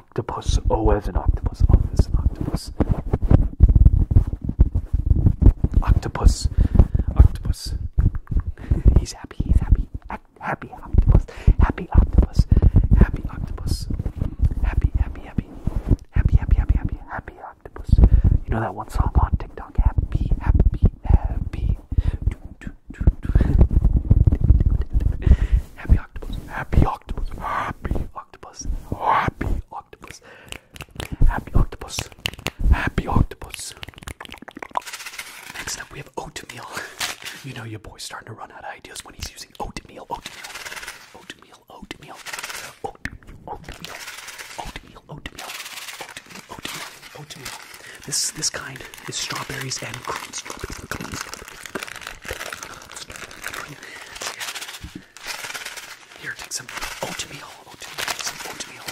octopus. O as an octopus. O as an octopus. Octopus. Octopus. he's happy. He's happy. Act happy octopus. Happy octopus. Happy octopus. Happy, happy, happy. Happy, happy, happy, happy. Happy octopus. You know that one song on TikTok? Happy, happy, happy. Happy octopus. Happy octopus octopus, happy octopus, happy octopus, happy octopus, happy octopus. Next up, we have oatmeal. you know your boy's starting to run out of ideas when he's using oatmeal, oatmeal, oatmeal, oatmeal, oatmeal, oatmeal, oatmeal, oatmeal, oatmeal, oatmeal. This this kind is strawberries and cream. Strawberry, cream, strawberry, cream, strawberry, cream. Here, take some oatmeal. Oatmeal. Some oatmeal.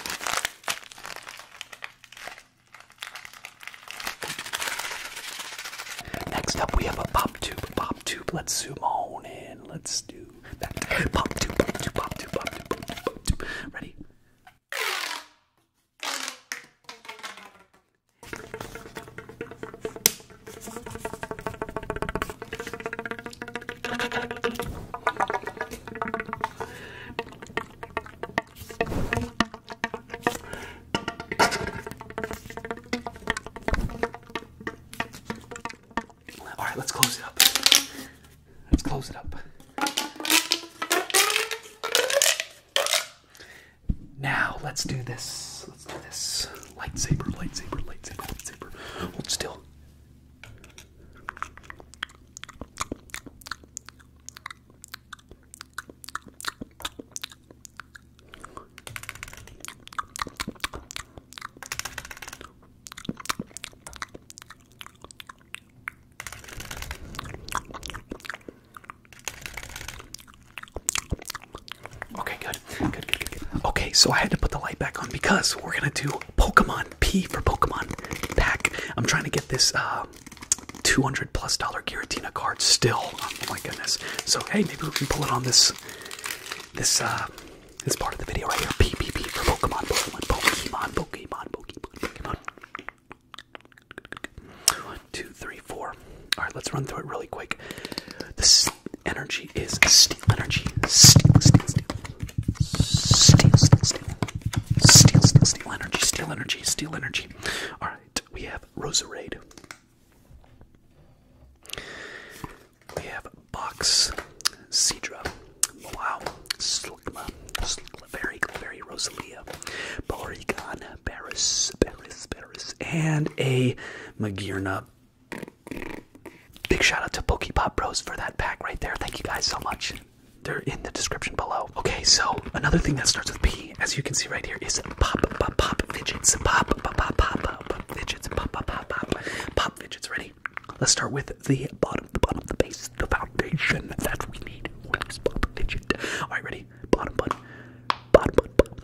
Next up, we have a pop tube. Pop tube. Let's zoom on in. Let's do that. Pop tube. Pop tube. Pop tube. Pop tube. Pop tube. Pop tube. Ready? All right, let's close it up. Let's close it up. Now, let's do this. Let's do this. Lightsaber, lightsaber, lightsaber, lightsaber. Hold still. Okay, good. Good, good, good, good. Okay, so I had to put the light back on because we're gonna do Pokemon P for Pokemon Pack. I'm trying to get this uh, 200 plus dollar Giratina card still. Oh my goodness. So hey, maybe we can pull it on this this uh this part of the video right here. P P P for Pokemon, Pokemon, Pokemon, Pokemon, Pokemon, Pokemon. One, two, three, four. Alright, let's run through it really quick. This energy is steel energy. Steel, steel, steel. Steel, steel, steel. Steel, steel, steel energy. Steel energy. Steel energy. All right, we have Roserade. We have Box, Cedra, Wow, Slugma, Slugma, Very, Rosalia, Porygon, Barris, Barris, Barris, and a Magirna Big shout out to Pokepop Bros for that pack right there. Thank you guys so much. They're in the description below. Okay, so another thing that starts with P, as you can see right here, is pop, pop, pop, fidgets. Pop, pop, pop, pop, pop, fidgets. Pop, pop, pop, pop, pop, fidgets. Ready? Let's start with the bottom, the bottom, the base, the foundation that we need. Where's pop, fidget? All right, ready? Bottom button, bottom button,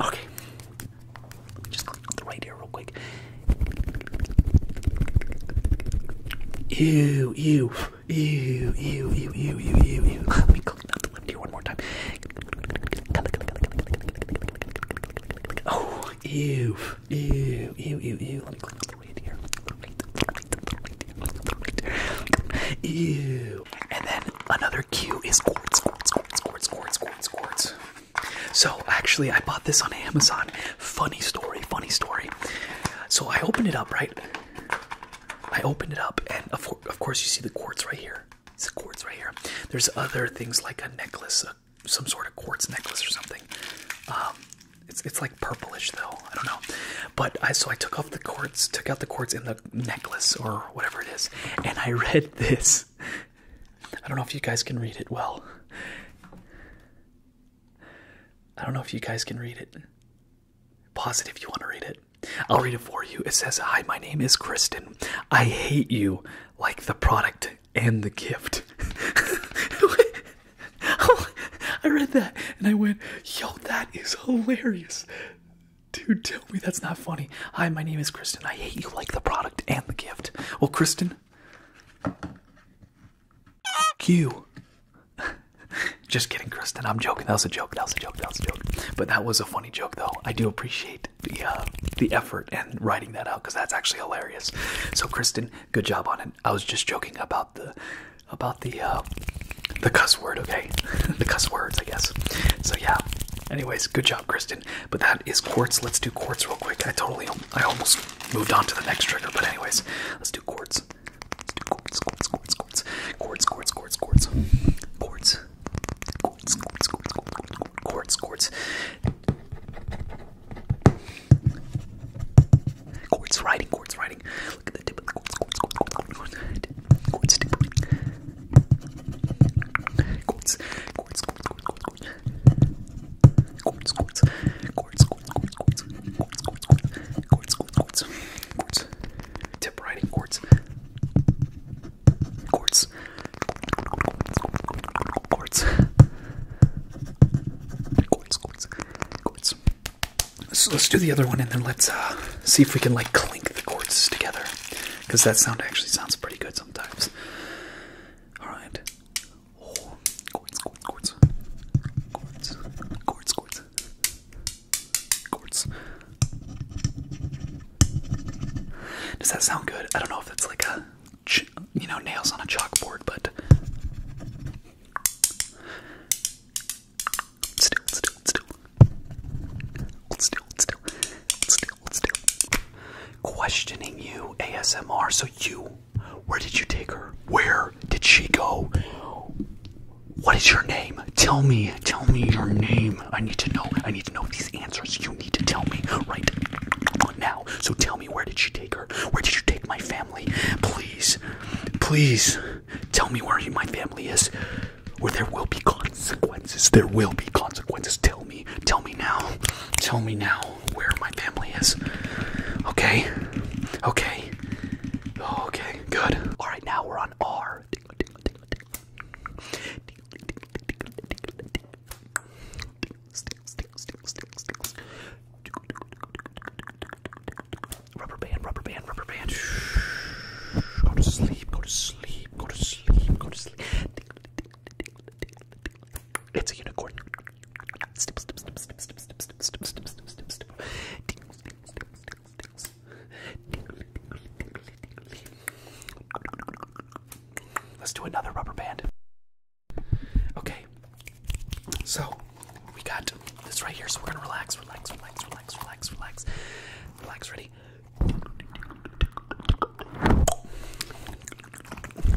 Okay. Just right here real quick. Ew, ew, ew, ew, ew, ew, ew, ew, ew. Let me click down the lip here one more time. Oh, ew, ew, ew, ew, ew. Let me click down the right here. Ew. And then another Q is quartz, quartz, quartz, quartz, quartz, quartz, So actually, I bought this on Amazon. Funny story, funny story. So I opened it up, right? I opened it up, and of, course, you see the quartz right here. It's quartz right here. There's other things like a necklace, some sort of quartz necklace or something. Um, it's it's like purplish though. I don't know. But I so I took off the cords, took out the cords in the necklace or whatever it is, and I read this. I don't know if you guys can read it well. I don't know if you guys can read it. Pause it if you want to read it. I'll read it for you. It says, Hi, my name is Kristen. I hate you like the product and the gift. I read that and I went, Yo, that is hilarious. Dude, tell me that's not funny. Hi, my name is Kristen. I hate you like the product and the gift. Well, Kristen, you. Just kidding, Kristen. I'm joking. That was a joke. That was a joke. That was a joke. But that was a funny joke, though. I do appreciate the uh, the effort and writing that out because that's actually hilarious. So, Kristen, good job on it. I was just joking about the about the uh, the cuss word, okay? the cuss words, I guess. So yeah. Anyways, good job, Kristen. But that is quartz. Let's do quartz real quick. I totally, I almost moved on to the next trigger. But anyways, let's do quartz. Let's do quartz, quartz, quartz, quartz, quartz, quartz, quartz, quartz, quartz, quartz, quartz, quartz, quartz, quartz, quartz. Quartz writing, quartz writing exciting. Look at the tip of the quartz. Quartz tip. Quartz. Quartz. Quartz. Quartz. Quartz. Quartz. Quartz. Quartz. Quartz. Quartz. Quartz. Quartz. Quartz. Quartz. Tip writing quartz. Quartz. Quartz. Quartz. Quartz. Quartz. So let's do the other one and then let's uh, see if we can like clink the chords together. Because that sound actually sounds pretty good sometimes. Alright. Oh, chords, chords, chords. Chords, chords, chords. Does that sound good? I don't know if it's like a, you know, nails on a chalkboard, but. Still, still, still. Still, still, still, Questioning you, ASMR. So you, where did you take her? Where did she go? What is your name? Tell me. Tell me your name. I need to know. I need to know these answers. You need to tell me right now. So tell me, where did she take her? Where did you take my family? Please, please tell me where my family is. Where there will be consequences. There will be consequences. Tell me. Tell me now. Tell me now where my family is. Okay? Okay. Okay, good. Alright, now we're on R. Rubber band, rubber band, rubber band. Go to sleep, go to sleep, go to sleep, go to sleep. It's a unicorn. Let's do another rubber band. Okay. So we got this right here. So we're gonna relax, relax, relax, relax, relax, relax. Relax, ready?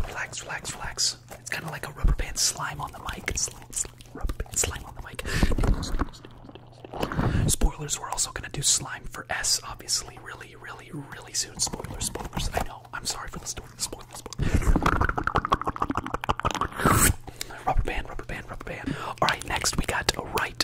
Relax, relax, relax. It's kind of like a rubber band slime on the mic. It's slime, slime, rubber band slime on the mic. Spoilers, we're also going to do slime for S, obviously, really, really, really soon. Spoilers, spoilers. I know. I'm sorry for the story. Spoilers, spoilers. Rubber band, rubber band, rubber band. Alright, next we got right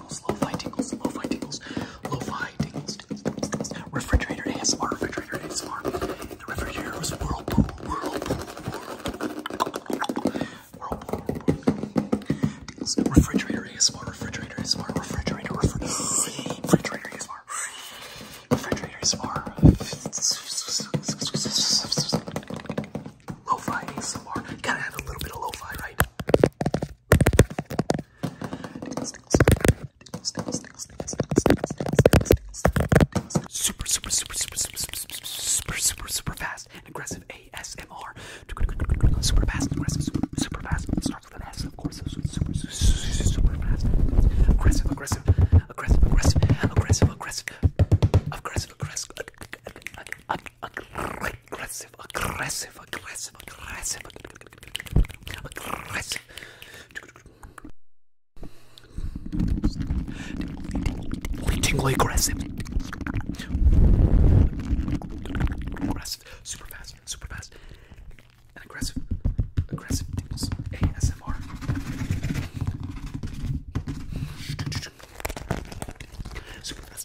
tingles, lo-fi tingles, lo-fi tingles, lo-fi tingles, tingles, tingles, tingles. Refrigerator ASMR, refrigerator ASMR. The refrigerator was whirlpool, whirlpool, whirlpool, whirlpool, whirlpool. Tingles. Refrigerator ASMR, refrigerator ASMR, refrigerator, refrigerator, refrigerator ASMR, refrigerator ASMR lo-fi ASMR. Gotta have a little bit of lo-fi, right? Super, super, super, super, super, super, super, super, super fast and aggressive ASMR. Super fast, aggressive, super, super fast. Starts with an S, of course. Super, super, super fast. Aggressive, aggressive, aggressive, aggressive, aggressive, aggressive, aggressive, aggressive, aggressive, aggressive aggressive, aggressive, aggressive, aggressive, aggressive. Only tingle aggressive. Aggressive, super fast, super fast, and aggressive, aggressive tingles. ASMR. Super fast.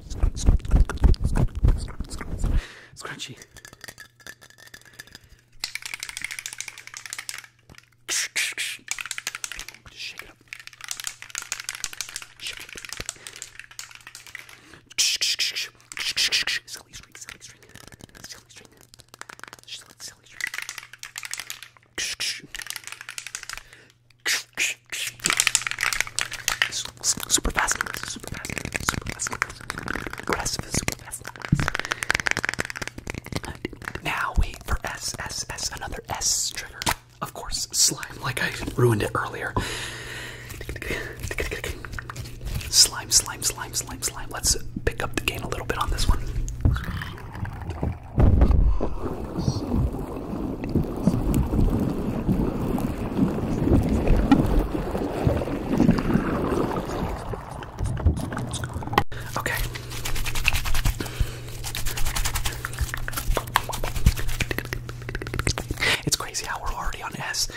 Scrunchy. Just shake it up. Shake it. Silly string, silly string. Silly string. Silly string. Super fast, super fast, super fast, aggressive, super fast. Now wait for S, S, S, another S trigger. Of course, slime, like I ruined it earlier. Slime, slime, slime, slime, slime. Let's pick up the gain a little bit on this one. Okay. It's crazy how we're already on S.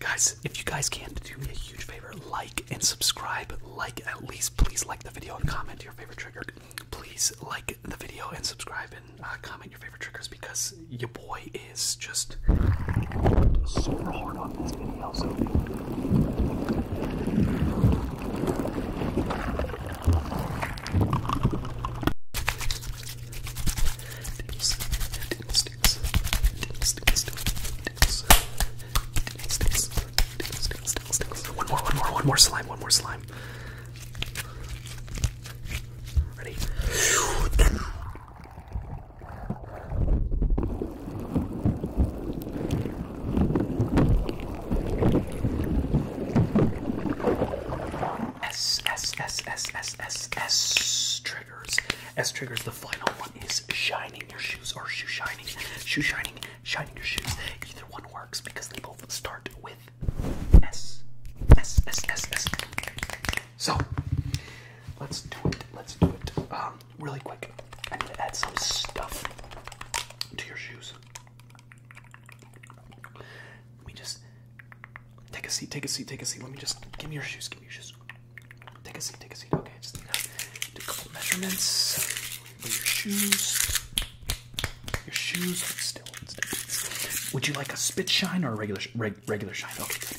Guys, if you guys can, do me a huge favor like and subscribe. Like, at least, please like the video and comment your favorite trigger. Please like the video and subscribe. And uh, comment your favorite triggers because your boy is just super hard on this video. So. One more, one more, one more slime, one more slime. Ready? S, S, S, S, S, S, S triggers. S triggers. The final one is shining your shoes or shoe shining. Shoe shining, shining your shoes. Either one works because they both start with so, let's do it. Let's do it. Um, really quick. I need to add some stuff to your shoes. Let me just take a seat, take a seat, take a seat. Let me just give me your shoes, give me your shoes. Take a seat, take a seat. Okay, just do a couple measurements for your shoes. Your shoes, would you like a spit shine or a regular regular shine? Okay.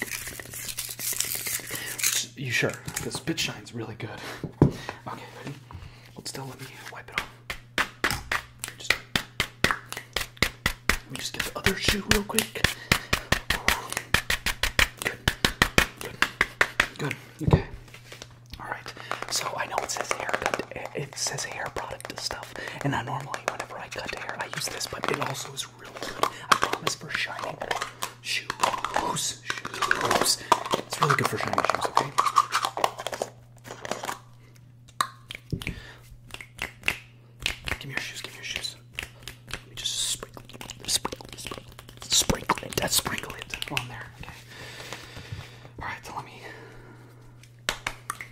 You sure? Because spit shine's really good. Okay, ready? Let's still. Let me wipe it off. Just let me just get the other shoe real quick. Good. Good. Good. Okay. All right. So I know it says hair cut. It says hair product stuff, and I normally whenever I cut hair I use this, but it also this was really good. I promise for shining shoes. Shoes. It's really good for shining shoes, okay? Give me your shoes, give me your shoes. Let me just sprinkle, sprinkle, sprinkle, sprinkle it, That's sprinkle it on there, okay? Alright, so let me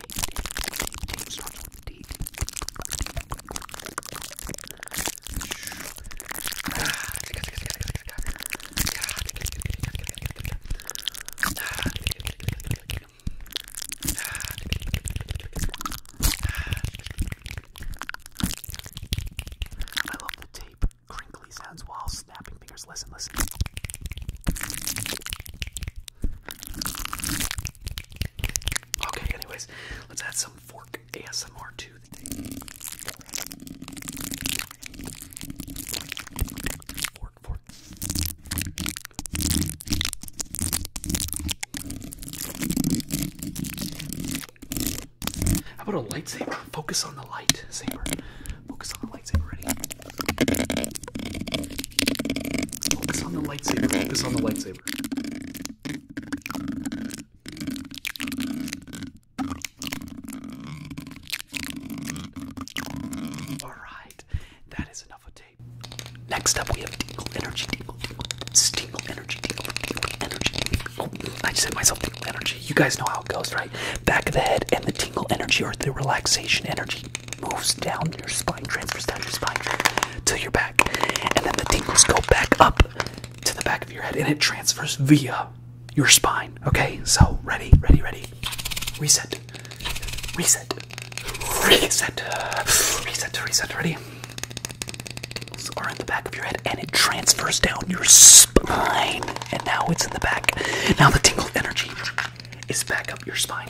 I love the tape crinkly sounds while snapping fingers. Listen, listen. Okay, anyways, let's add some fork ASMR to the thing. Fork, fork. How about a lightsaber? Focus on the lightsaber. Focus on the lightsaber. Ready? Focus on the lightsaber. Focus on the lightsaber. Alright, that is enough of tape. Next up, we have Tingle Energy. Tingle, tingle, tingle Energy. Tingle, tingle Energy. Oh, I just said myself Tingle Energy. You guys know how it goes, right? Back of the head and the Tingle Energy or the relaxation energy moves down your spine, transfers down your spine to your back, and then the tingles go back up to the back of your head, and it transfers via your spine. Okay, so ready, ready, ready. Reset, reset, reset, reset, reset. Ready? Tingles are in the back of your head, and it transfers down your spine, and now it's in the back. Now the tingled energy is back up your spine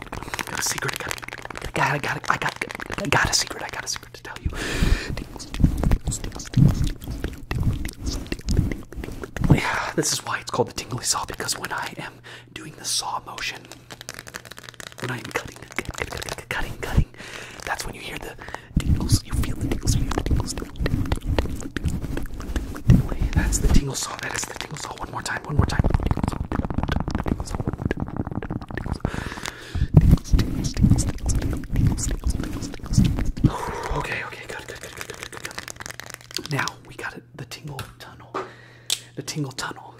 got a secret. I got, I got, I got, I I got a secret. I got a secret to tell you. Yeah, this is why it's called the tingly saw because when I am doing the saw motion, when I am cutting, cutting, cutting, cutting, that's when you hear the tingles. You feel the tingles. You feel the tingles. That's the tingly saw. That is the tingly saw. One more time one more time. Okay, okay, good, good, good, good, good, good, Now we got it. The tingle tunnel. The tingle tunnel.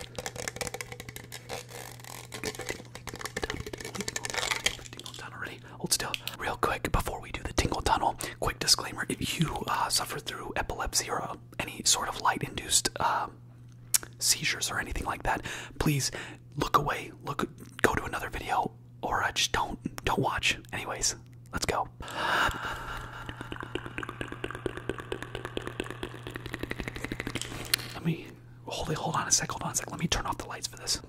Tingle Hold still. Real quick before we do the tingle tunnel. Quick disclaimer: If you uh, suffer through epilepsy or uh, any sort of light-induced um, seizures or anything like that, please look away. Look, go to another video, or just don't don't watch. Anyways, let's go. Let me hold Hold on a sec. Hold on a sec. Let me turn off the lights for this.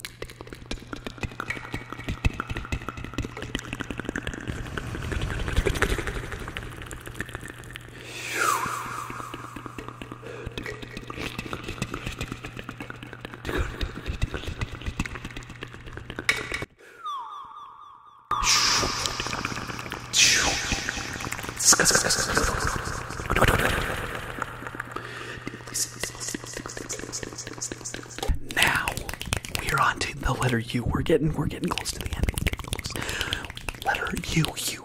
Now we're on to the letter U. We're getting we're getting close to the end. Letter U U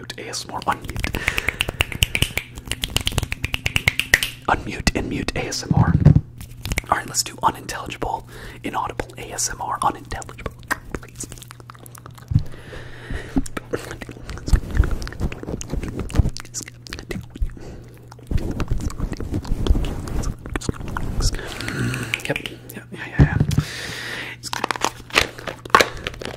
mute, ASMR, unmute. Unmute and mute ASMR. Alright, let's do unintelligible, inaudible ASMR, unintelligible, please. Yep. Yeah, yeah, yeah.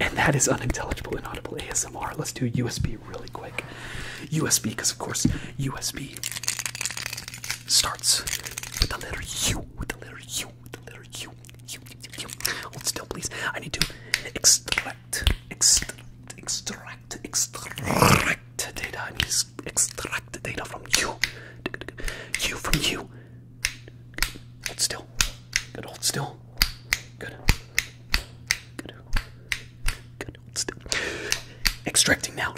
And that is unintelligible, inaudible ASMR. Let's do USB really quick. USB, because of course, USB starts with the letter U, with the letter U, with the letter U. U, U, U. Hold still, please. I need to extra extract, extract, extract, extract data. extract the data from you. You from you. Hold still. Good, hold still. Good. Good. Good, hold still. Extracting now.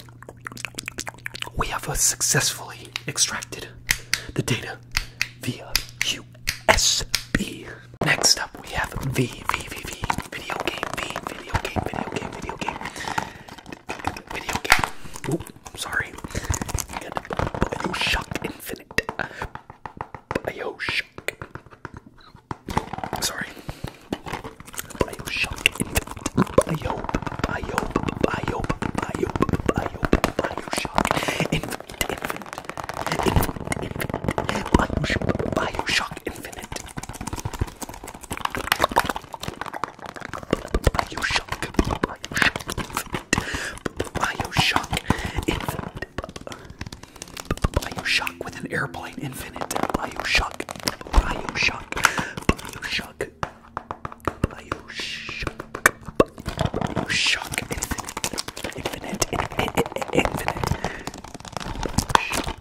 We have successfully extracted the data via USB. Next up, we have V, V, V, V, video game, V, video game, video game, video game, video game. Oh, sorry. And Bioshock Infinite. Bioshock. Sorry. Bioshock Infinite. Bio, bio, bio, bio, bio, Bioshock Infinite. Infinite, infinite, infinite. Bioshock, Bioshock Infinite. Bioshock, Bioshock Infinite, Bioshock Infinite, Bioshock with an airplane, Infinite, Bioshock, Bioshock, Bioshock, Bioshock, Bioshock Infinite, Infinite, Infinite, Infinite, Bioshock.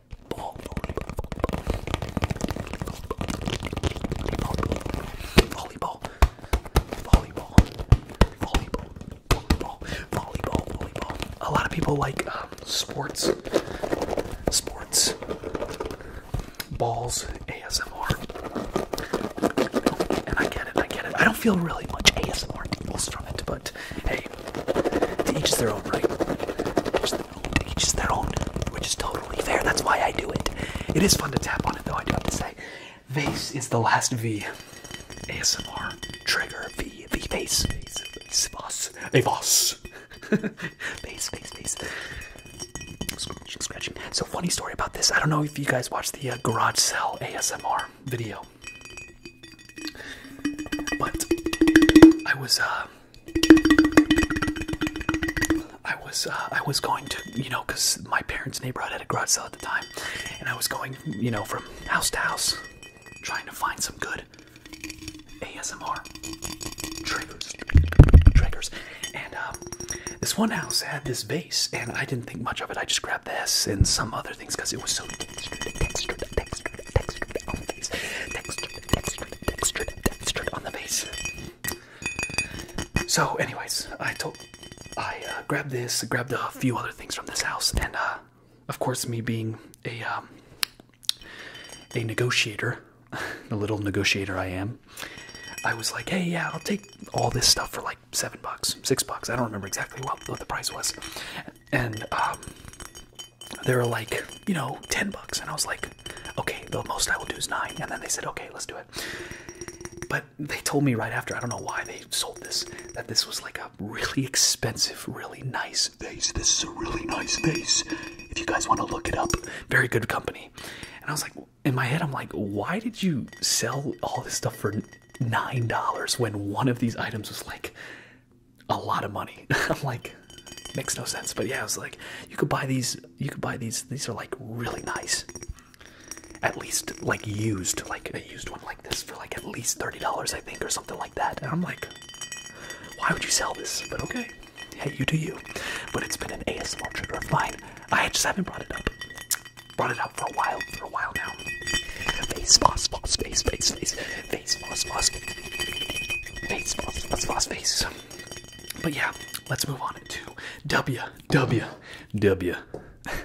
volleyball, volleyball, volleyball, volleyball, volleyball, volleyball. A lot of people like um, sports, sports, balls, ASMR, and I get it, I get it. I don't feel really much ASMR deals from it, but right? To each is their own, right? To each is their own, which is totally fair. That's why I do it. It is fun to tap on it, though, I do have to say. Vase is the last V. ASMR. Trigger. V. V. Vase. Vase. Vase. Boss. A boss. Vase. Vase. Vase. Scratching. Scratching. So, funny story about this. I don't know if you guys watched the uh, Garage Sale ASMR video. But I was, uh, I was, uh, I was going to, you know, because my parents' neighborhood had a garage sale at the time, and I was going, you know, from house to house, trying to find some good ASMR triggers, triggers, and um, this one house had this vase, and I didn't think much of it. I just grabbed this and some other things because it was so textured on the face. Textured, textured, textured, textured on the face. So, anyways, I told, I uh, grabbed this, grabbed a few other things from this house, and uh, of course, me being a um, a negotiator, the little negotiator I am, I was like, hey, yeah, I'll take all this stuff for like seven bucks, six bucks. I don't remember exactly what, what the price was and um, they were like, you know, 10 bucks. And I was like, okay, the most I will do is nine. And then they said, okay, let's do it. But they told me right after, I don't know why they sold this, that this was like a really expensive, really nice vase. This is a really nice vase. If you guys want to look it up, very good company. And I was like, in my head, I'm like, why did you sell all this stuff for $9 when one of these items was like a lot of money. I'm like, makes no sense. But yeah, I was like, you could buy these. You could buy these. These are like really nice. At least like used, like a used one like this for like at least thirty dollars, I think, or something like that. And I'm like, why would you sell this? But okay, hey, you do you. But it's been an ASMR trigger of mine. I just haven't brought it up. Brought it up for a while, for a while now. Face, boss, boss, face, face, face boss boss face boss boss boss face. But yeah, let's move on to W W W.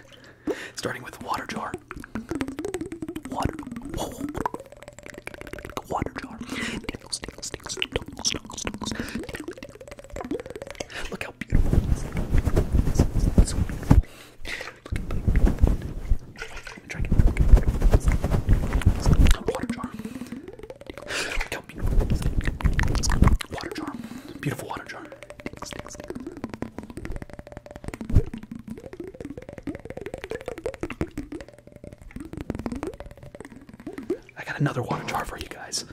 Starting with water jar. Water. Whoa. Water jar. Dingles, dingles, dingles, dingles, dingles, dingles, dingles. Look how beautiful. It's so beautiful. Look at Beautiful water jar. I got another water jar for you guys.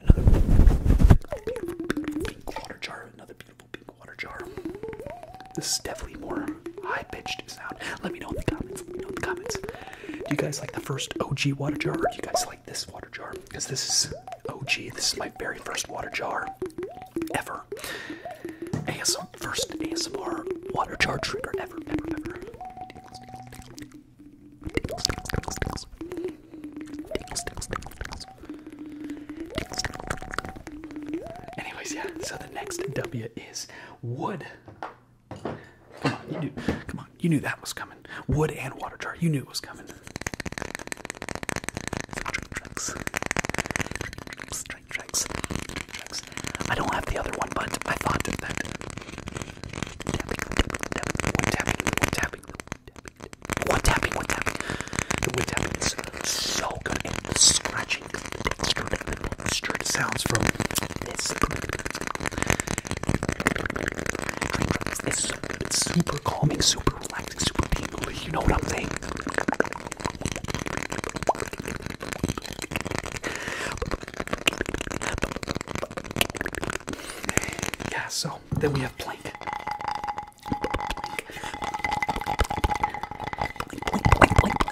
Another beautiful, water jar. Another beautiful water jar. This is definitely more high-pitched sound. Let me know in the comments. Let me know in the comments. Do you guys like the first OG water jar, or do you guys like this water jar? Because this is OG. This is my very first water jar ever. ASM first ASMR water jar trigger ever, ever, ever. Anyways, yeah. So the next W is wood. Come on, you knew, that was coming. Wood and water jar, you knew it was coming. I don't have the other one, but I thought that that one tapping, one tapping, one tapping, one The wood is so good, and the straight sounds from this. It's, it's super calming, super relaxing, super tingly. You know what I'm saying? Yeah. So then we have plank. Plank, plank, plank, plank, plank,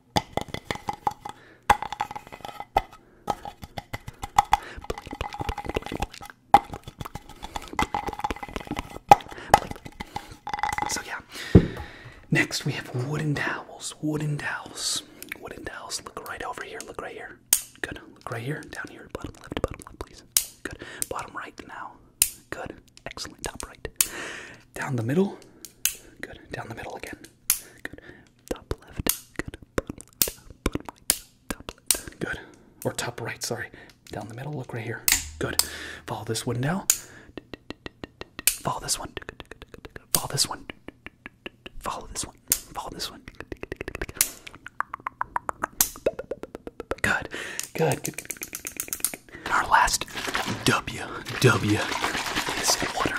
So yeah. Next we have wooden towels. Wooden towels. Wooden towels. Look right over here. Look right here. Good. Look right here. Down here. Bottom left. Bottom left, please. Good. Bottom right now. Good. Excellent. Top right. Down the middle. Good. Down the middle again. Good. Top left. Good. Bottom left. Bottom right. Top left. Good. Or top right, sorry. Down the middle. Look right here. Good. Follow this one now. Follow this one. Follow this one. Follow this one. Follow this one. Good. Good. Good. good. Our last W W is water.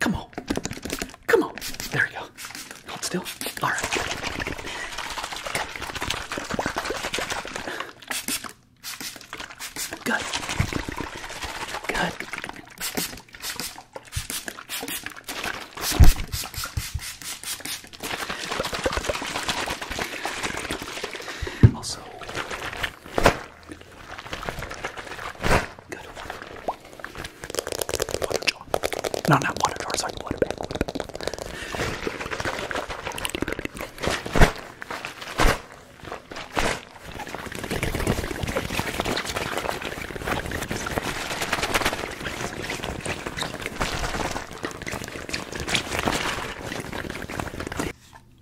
Come on. Come on. There we go. Hold still. All right. Good. Good. Also, good water. Water jar. No, not water jar, sorry, water bag.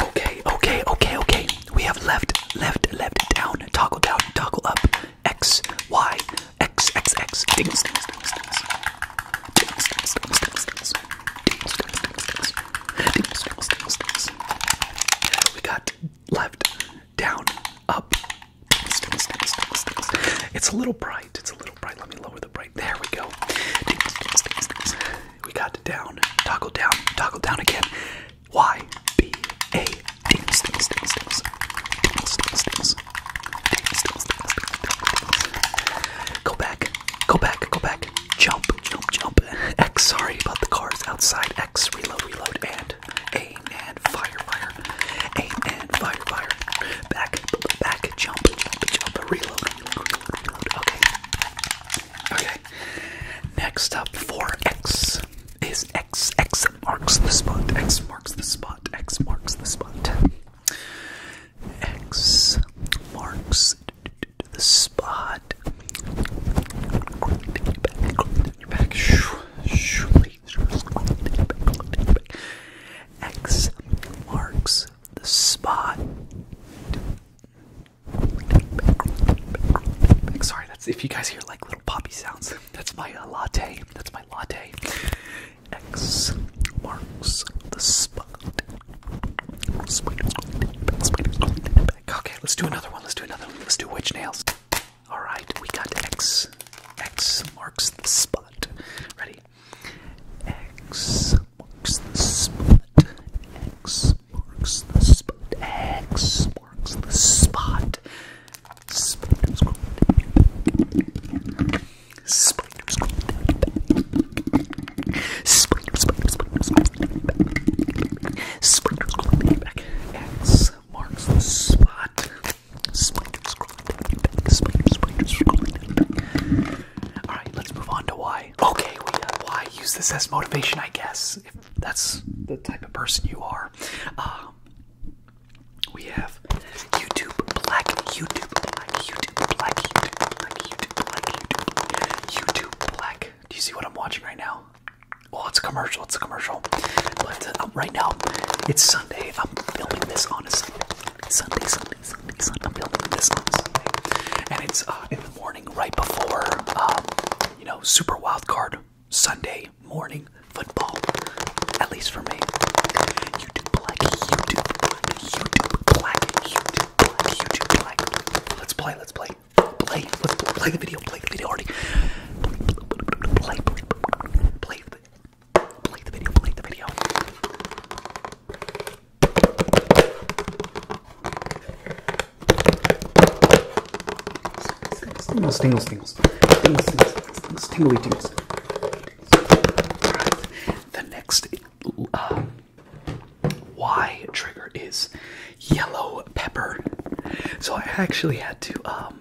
Okay, okay, okay, okay. We have left, left, left, down, toggle down, toggle up. X, Y, X, X, X. Dings, dings, dings, dings. Dings, dings, dings, dings, dings. Dings, dings, dings, dings. Dings, dings, dings, dings. We got left, down, up. It's a little bright. It's a little bright. Let me lower the bright. There we go. We got down, toggle down, toggle down again. Y B A. Go back, go back, go back. Jump, jump, jump. X. Sorry about the cars outside. X. Reload, reload, and and aim and fire, fire, aim and fire, fire. Back, back, jump, jump, jump, reload, reload, reload. Okay, okay. Next up for X is X. X marks the spot. X marks the spot. X marks the spot. X marks the spot. Your back, your back. Shoo, X marks the spot. Sorry, that's if you guys hear like little poppy sounds. That's my uh, latte. That's my latte. X marks the spot. Okay, let's do another one. Let's do another one. Let's do witch nails. All right, we got X. X marks the spot. Ready? X marks the spot. X marks the spot. X marks the spot. Spiders crawling down your back. Spiders crawling down your back. Spiders, spiders, spiders crawling down your back. Spiders crawling down your back. X marks the spot. Spiders Alright, let's move on to why. Okay, we got why. Use this as motivation, I guess, if that's the type of person you are. Um, we have YouTube Black, YouTube Black, YouTube Black, YouTube Black, YouTube Black. Do you see what I'm watching right now? Oh, it's a commercial commercial. It's a commercial. But um, right now, it's Sunday. I'm filming this on a Sunday. Sunday, Sunday, Sunday, Sunday. I'm filming this on a Sunday. And it's uh, in the morning right before, um, you know, Super Wild Card Sunday morning football. At least for me. YouTube Black, YouTube Black, YouTube Black, YouTube Black, YouTube Black. Let's play, let's play. Play, let's play the video, play the video already. Play, play, play, play, Play the video, play the video. Tingles, tingles, tingles. Tingles, tingles, tingles, tingles, tingly tingles. Right. The next uh, Y trigger is yellow pepper. So I actually had to um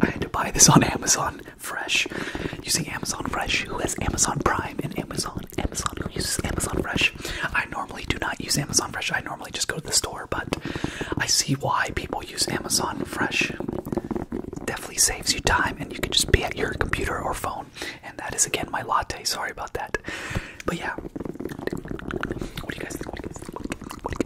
I had to buy this on Amazon Fresh using Amazon Fresh. Who has Amazon Prime and Amazon? Amazon who uses Amazon Fresh? I normally do not use Amazon Fresh. I normally just go to the store, but I see why people use Amazon Fresh. Definitely saves you time, and you can just be at your computer or phone. And that is again my latte. Sorry about that, but yeah. What do you guys think?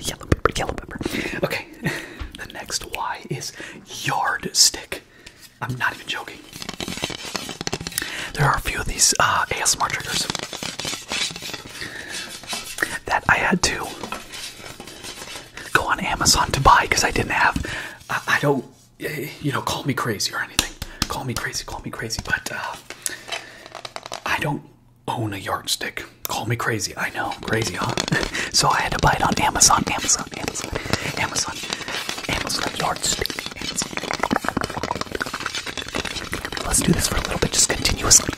Yellow pepper, yellow pepper. Okay, the next Y is yardstick. I'm not even joking. There are a few of these uh, ASMR triggers that I had to go on Amazon to buy because I didn't have. I don't, eh, you know, call me crazy or anything. Call me crazy, call me crazy, but uh, I don't own a yardstick. Call me crazy. I know, crazy, huh? so I had to buy it on Amazon, Amazon, Amazon, Amazon, Amazon yardstick. Let's do this for a little bit, just continuously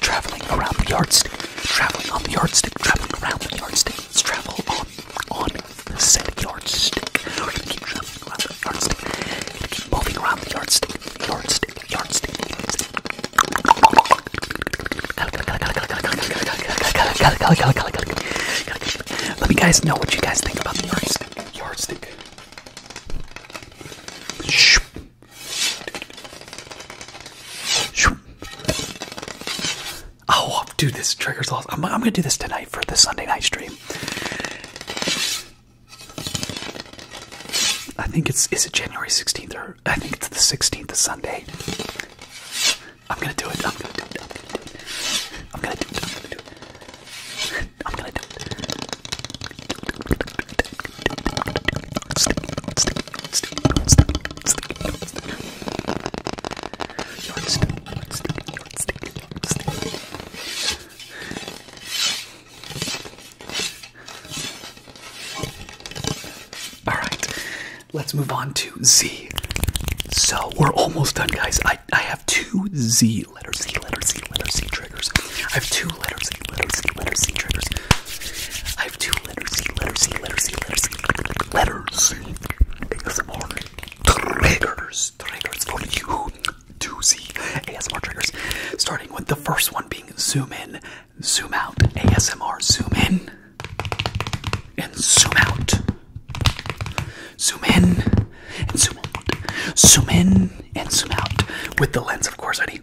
traveling, around the yardstick, traveling on the yardstick, traveling around the yardstick. Let's travel on, on the set of We're keep traveling around the yardstick. keep moving around the yardstick yarn stick, Let me guys know what you guys think about the yardstick. stick. Yarn stick. Oh, dude, this triggers lost. I'm, I'm gonna do this tonight for the Sunday night stream. I think it's is it January 16th or I think it's the 16th of Sunday. I'm gonna do it. I'm gonna do it. I'm gonna do it. I'm gonna do it. I'm gonna do it. All right, let's move on to Z. So we're almost done, guys. I, I have two Z letter Z letter Z letter Z triggers. I have two letter Z letter Z letter Z triggers. I have two letter Z letter Z letter Z letter Z letter Z ASMR triggers triggers for you. Two Z ASMR triggers. Starting with the first one being zoom in Zoom out, ASMR, zoom in, and zoom out. Zoom in, and zoom out. Zoom in, and zoom out. With the lens, of course, Eddie.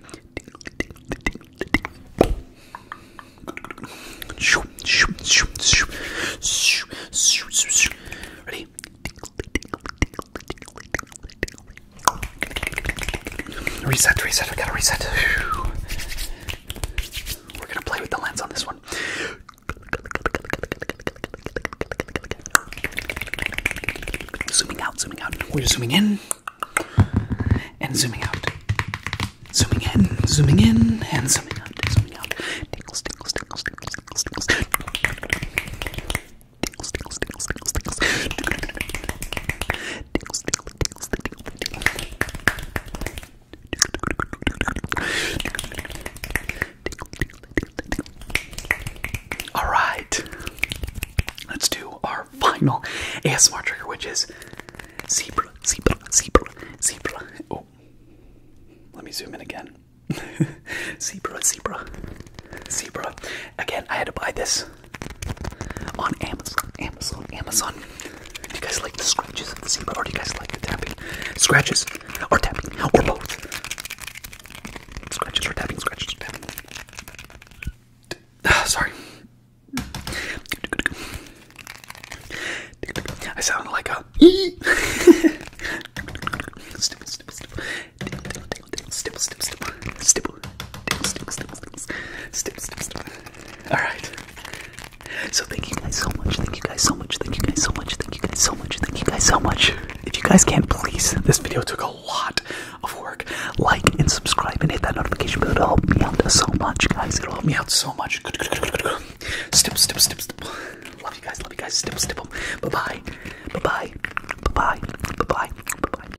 Ready? Reset, reset, I gotta reset. Whew. We're gonna play with the lens on this one. Zooming out, zooming out. We're zooming in and zooming out. Zooming in, zooming in, and zooming out, zooming out. Tingles, tingles, tingles, tingles, tingles, tingles. All right, let's do our final ASMR trigger, which is zebra, zebra, zebra, zebra. Oh, let me zoom in again. zebra, zebra, zebra. Again, I had to buy this on Amazon, Amazon, Amazon. Do you guys like the scratches of the zebra, or do you guys like the tapping? Scratches or tapping, or both? Scratches or tapping, scratches or tapping. Ah, sorry. I sound like a. Stipple, stipple, stipple, stipple, stipple, stipple, stipple, stipple. All right. So thank you guys so much. Thank you guys so much. Thank you guys so much. Thank you guys so much. Thank you guys so much. If you guys can please, this video took a lot of work. Like and subscribe and hit that notification bell to help me out so much, guys. It'll help me out so much. Stipple, stipple, stipple, stipple. Love you guys. Love you guys. Stipple, stipple. Bye bye. Bye bye. Bye bye. Bye bye. Bye bye.